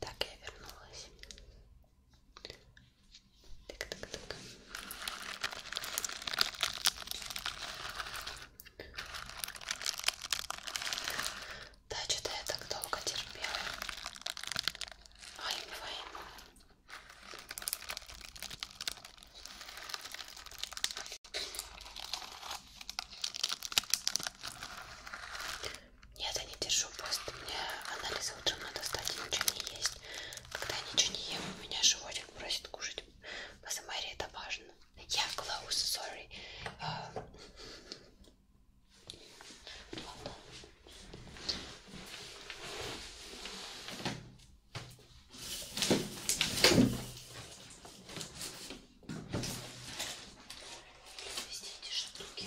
Так, я вернулась. Так, так, так. Да, что-то я так долго терпела. Ой, войну. Нет, я не держу пост. Мне анализы утром надо стать и ничего не есть. Когда я ничего не ем, у меня животик просит кушать по Самаре это важно. Я yeah, close, sorry. Uh... Эти штуки.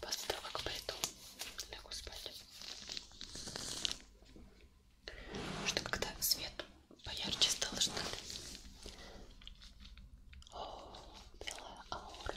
После того, как пойду, лягу спать. Потому что когда свет Поярче стало что-то. О, белая аура. Ой,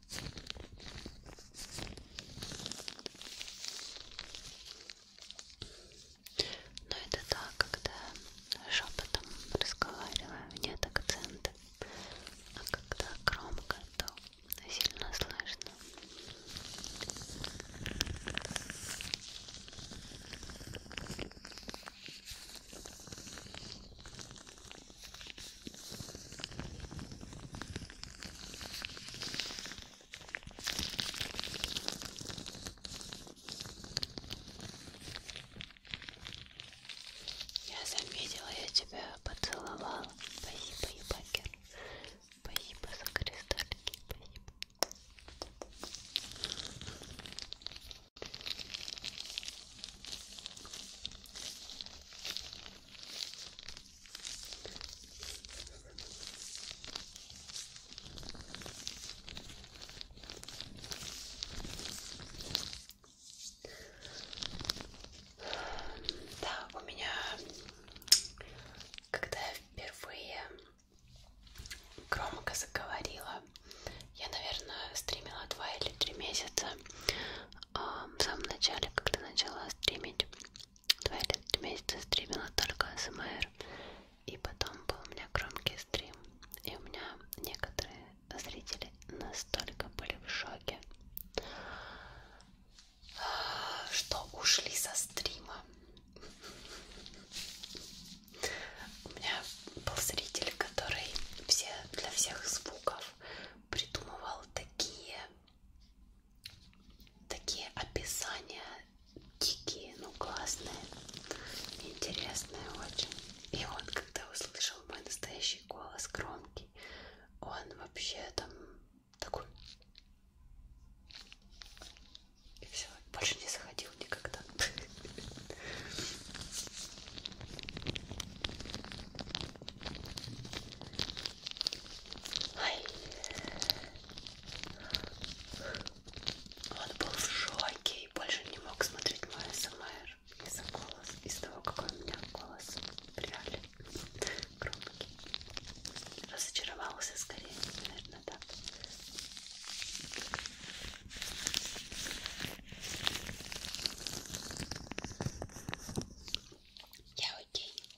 Но ну, это так, когда шепотом разговариваю, нет акцента. А когда громко, то сильно слышно. Я заметила, я тебя поцеловала. Спасибо, ебакер. Спасибо за кристаллики. Спасибо. Да, у меня, когда я впервые громко заговорила, я, наверное, стримила два или три месяца а, в самом начале, когда начала стримить. Два или три месяца стримила только СМР. И потом был у меня громкий стрим. И у меня некоторые зрители настолько были в шоке, что ушли со стрима. У меня был зритель, который все, для всех звуков придумывал такие такие описания дикие, ну классные, интересные очень. И он, когда услышал мой настоящий голос, громкий, он вообще там такой... И все, больше не заходил никогда. Ай. Он был в шоке и больше не мог смотреть мой СМР из-за голоса, из-за того, какой у меня голос реально громкий. Разочаровался скорее, наверное, так. Я окей.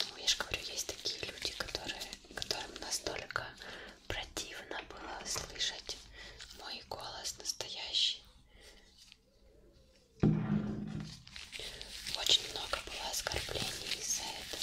Ну, я же говорю, есть такие люди, которые, которым настолько противно было слышать мой голос настоящий. Очень много было оскорблений из-за этого.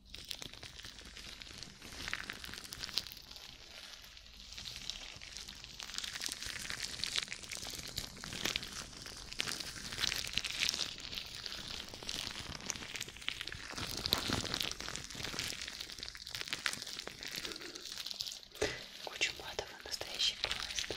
Куча матов и настоящий пласт.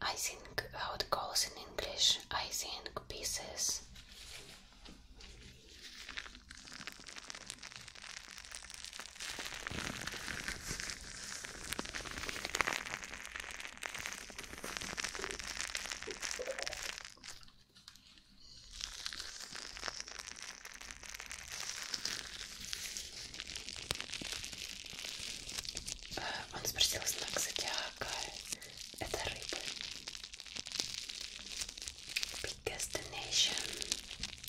I think how it goes in English. I think pieces. Он спросил знак а зодиака. Это рыбы. Big destination.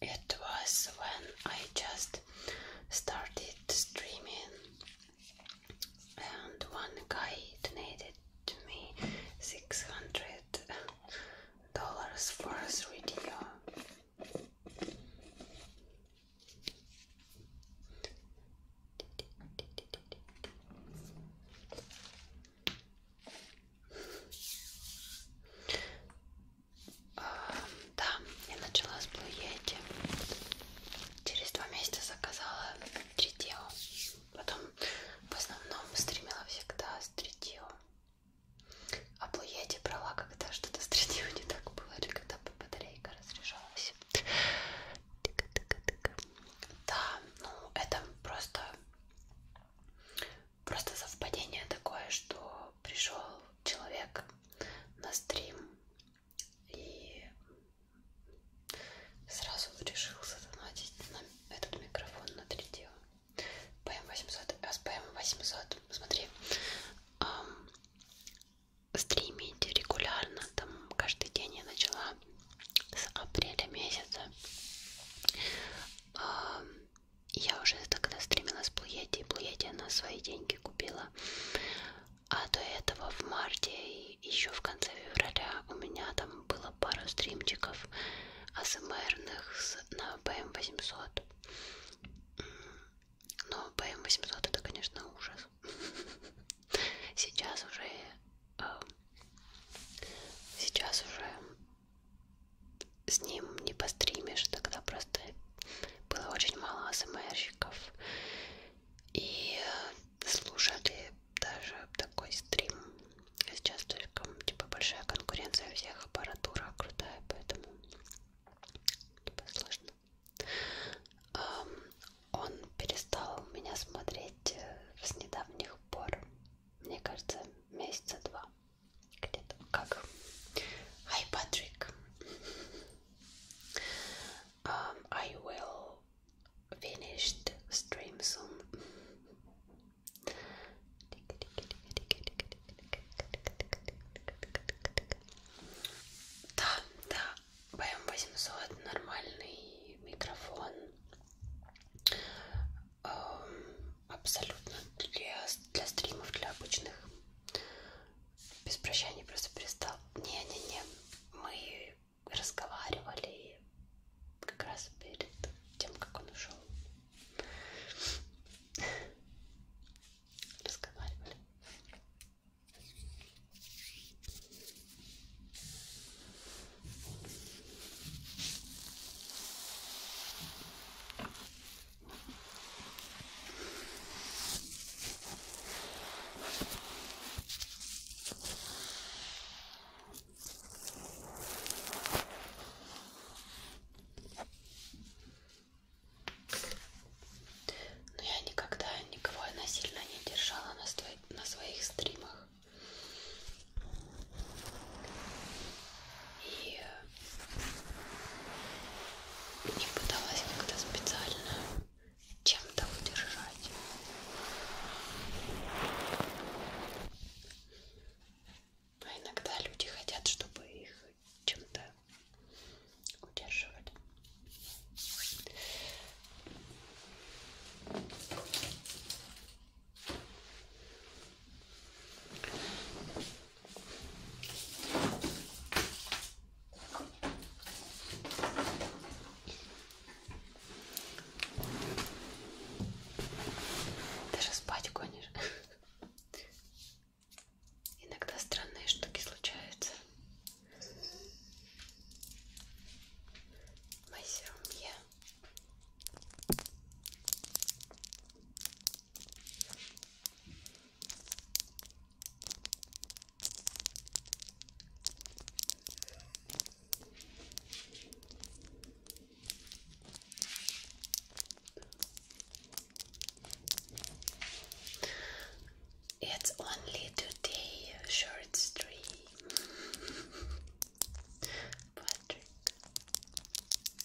it was when I just started streaming, and one guy donated to me six hundred dollars for his video. Да, я начала с Blue Yeti. Через два месяца заказала стритио. Потом в основном стримила всегда стритио. А Blue Yeti брала, когда что-то стритио не так было, или когда батарейка разряжалась. Да, ну это просто Просто совпадение такое, что пришел человек на стрим и сразу решил задонатить на этот микрофон на 3D. ПМ800, а с ПМ800, смотри, эм, стримить регулярно, там каждый день я начала с апреля месяца. Эм, я уже тогда стримила с Плуети, Плуети она свои деньги купила. А до этого в марте и еще в конце февраля у меня там было пару стримчиков асмрных на BM800. Но BM800 это, конечно, ужас. <laughs> Сейчас уже... Эм, сейчас уже с ним не постримишь, тогда просто было очень мало АСМРщиков. И э, слушали даже такой стрим. А сейчас только типа большая конкуренция всех, аппаратура крутая, поэтому типа сложно. Он перестал меня смотреть э, с недавних пор. Мне кажется, месяца два. Hi Patrick. Um, I will finish the stream soon. Да, да, BM800 нормальный микрофон. абсолютно для, для стримов, для обычных. Без прощания просто перестал. Не-не-не, мы разговаривали как раз перед тем, как он ушел. Разговаривали. Но я никогда никого насильно не держала на, сто... на своих стримах. И э, не пыталась как-то специально чем-то удержать. А иногда люди хотят, чтобы их чем-то удерживали. Даже спать гонишь. Иногда странные штуки случаются. Мастерумье. It's only today short stream. <laughs> Patrick.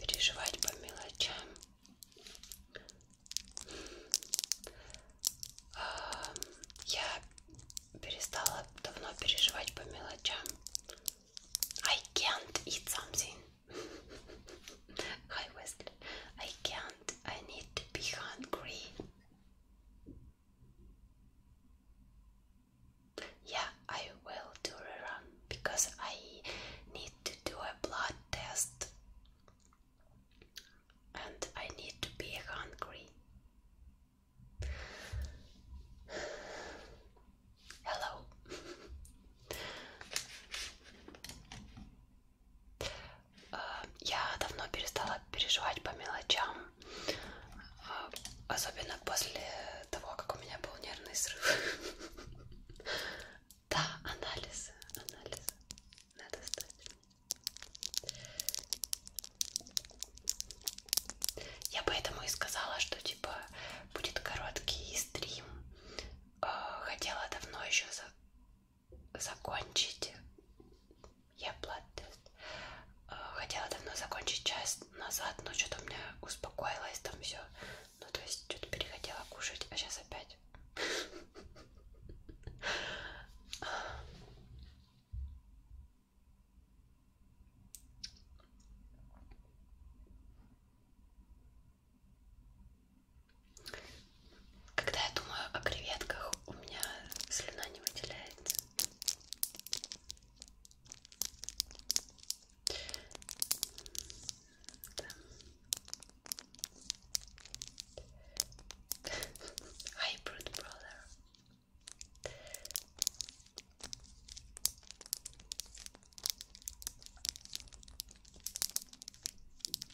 переживать по мелочам а, я перестала давно переживать по мелочам I can't eat something <laughs> Hi Wesley I can't I need to be hungry Yeah, I will do a run because I need to do a blood test and I need to be hungry. <sighs> Hello. <laughs> Э, я давно перестала переживать по мелочам, э, особенно после того, как у меня был нервный срыв. <laughs> Да, анализы, анализы надо сдать. Я поэтому и сказала, что типа будет короткий стрим. Э, хотела давно еще закончить я тест э, Хотела давно закончить час назад, но что-то у меня успокоилось там все. Ну, то есть, что-то перехотела кушать, а сейчас опять. Когда я думаю о креветках, у меня слюна не выделяется. Да. Hi, Brood Brother.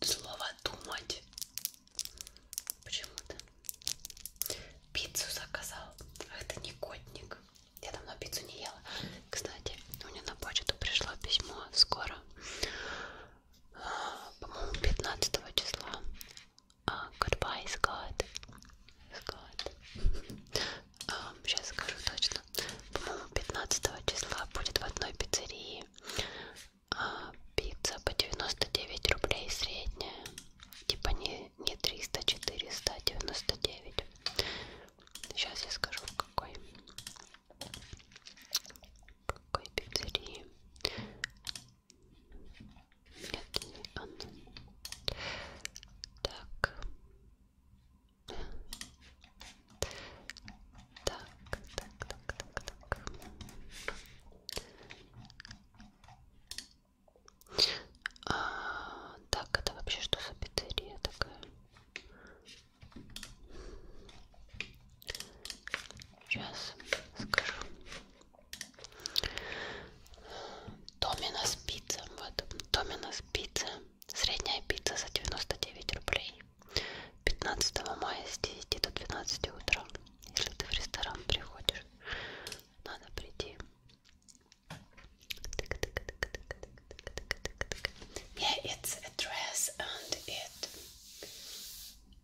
слово думать почему-то. Пиццу заказал. Ах ты негодник. Я давно пиццу не ела. Кстати, у меня на почту пришло письмо скоро. А, по-моему, 15 числа. Uh, goodbye, Scott. Scott. Uh, <laughs> сейчас а, скажу точно. По-моему, 15 числа будет в одной пиццерии пицца по 99 рублей средняя. Типа не, не 300, 499. А Сейчас я скажу в какой. В какой пиццерии. Нет, не она. Так. Так, так, так, так, так. А, так, это вообще что за пиццерия такая? Сейчас скажу. Доминос пицца. Вот. Доминос пицца. Средняя пицца за 99 рублей. 15 мая с 10 до 12 утра. Если ты в ресторан приходишь, надо прийти. Yeah, it's a dress and it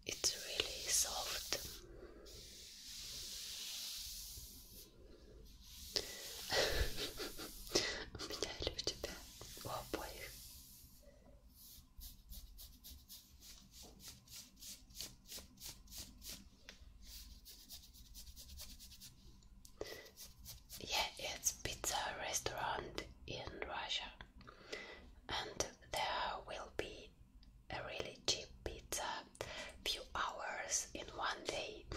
it's really soft. <laughs> У меня или у тебя? У обоих. Yeah, it's pizza restaurant in Russia, and there will be a really cheap pizza, few hours in one day. <laughs>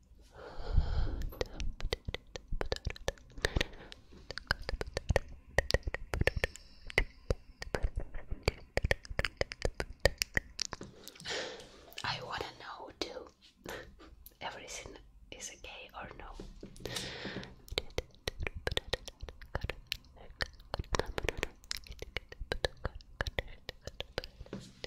I wanna know too. <laughs> Everything is okay or no?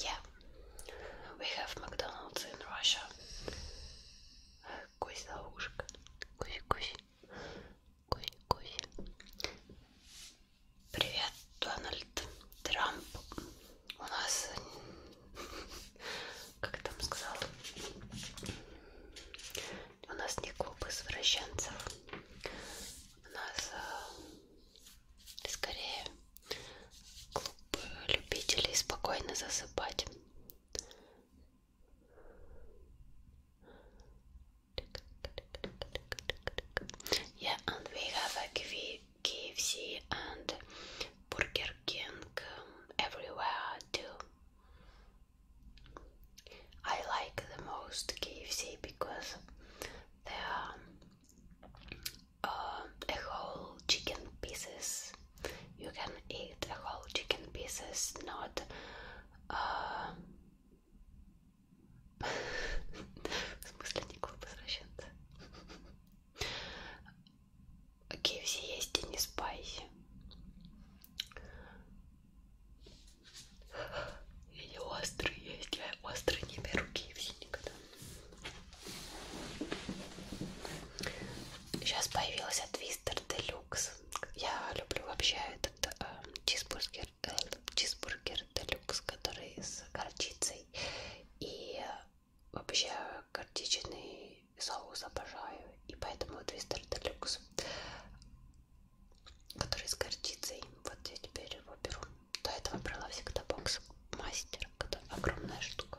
Yeah, we have McDonald's in Russia. Кусь за ушко. Кусь, кофе, кофе. Привет, Дональд Трамп. У нас, <laughs> как там сказал, у нас не клуб извращенцев. У нас э, скорее клуб любителей спокойно засыпать. Yeah, and we have a KFC and Burger King everywhere too. I like the most KFC because they are uh, a whole chicken pieces. You can eat a whole chicken pieces, not uh, В смысле не клуб извращенца? KFC есть и не спайси. Или острый есть. Я острый не беру KFC никогда. Сейчас появился Twister Deluxe. Я люблю вообще этот э, чизбургер чизбургер делюкс, который с горчицей. И э, вообще горчичный соус обожаю. И поэтому твистер делюкс, который с горчицей. Вот я теперь его беру. До этого брала всегда бокс мастер, это огромная штука.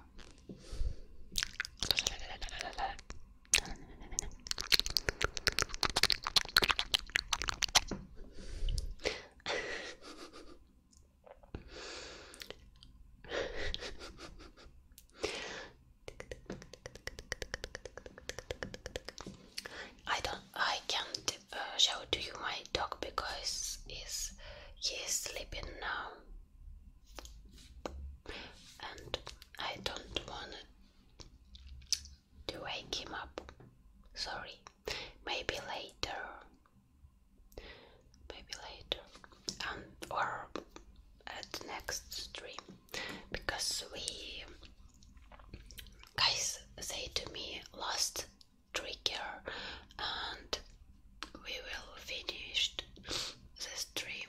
I don't I can't uh, show to you my dog because he's he sleeping now and I don't want to wake him up. Sorry, maybe later. Maybe later, and um, or at the next stream, because we guys say to me last trigger, and we will finished the stream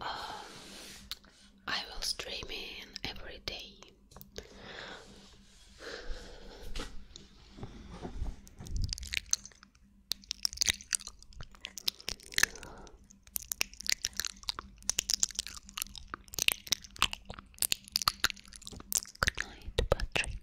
I will stream in every day. Good night, Patrick.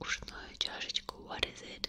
Ушную чашечку. What is it?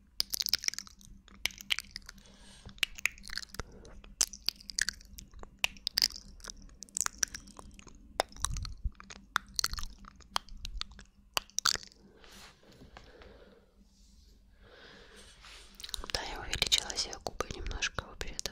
Да, я увеличила себе губы немножко вообще-то.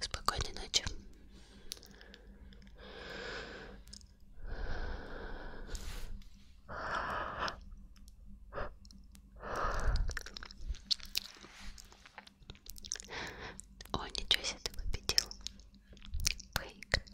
Спокойной ночи. О, ничего себе, ты победил. Выиграл.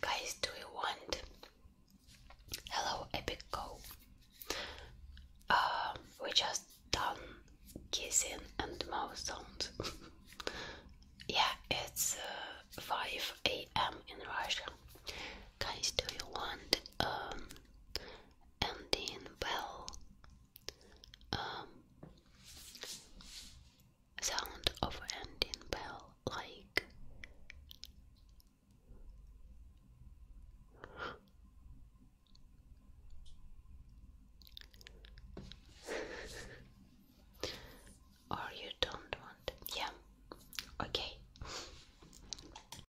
Guys, do you want Hello Epic Go? Uh, we just done kissing and don't. <laughs> yeah, it's uh, 5 a.m. in Russia. Guys, do you want um, and in bell um, sound of ending bell like or you don't want yeah okay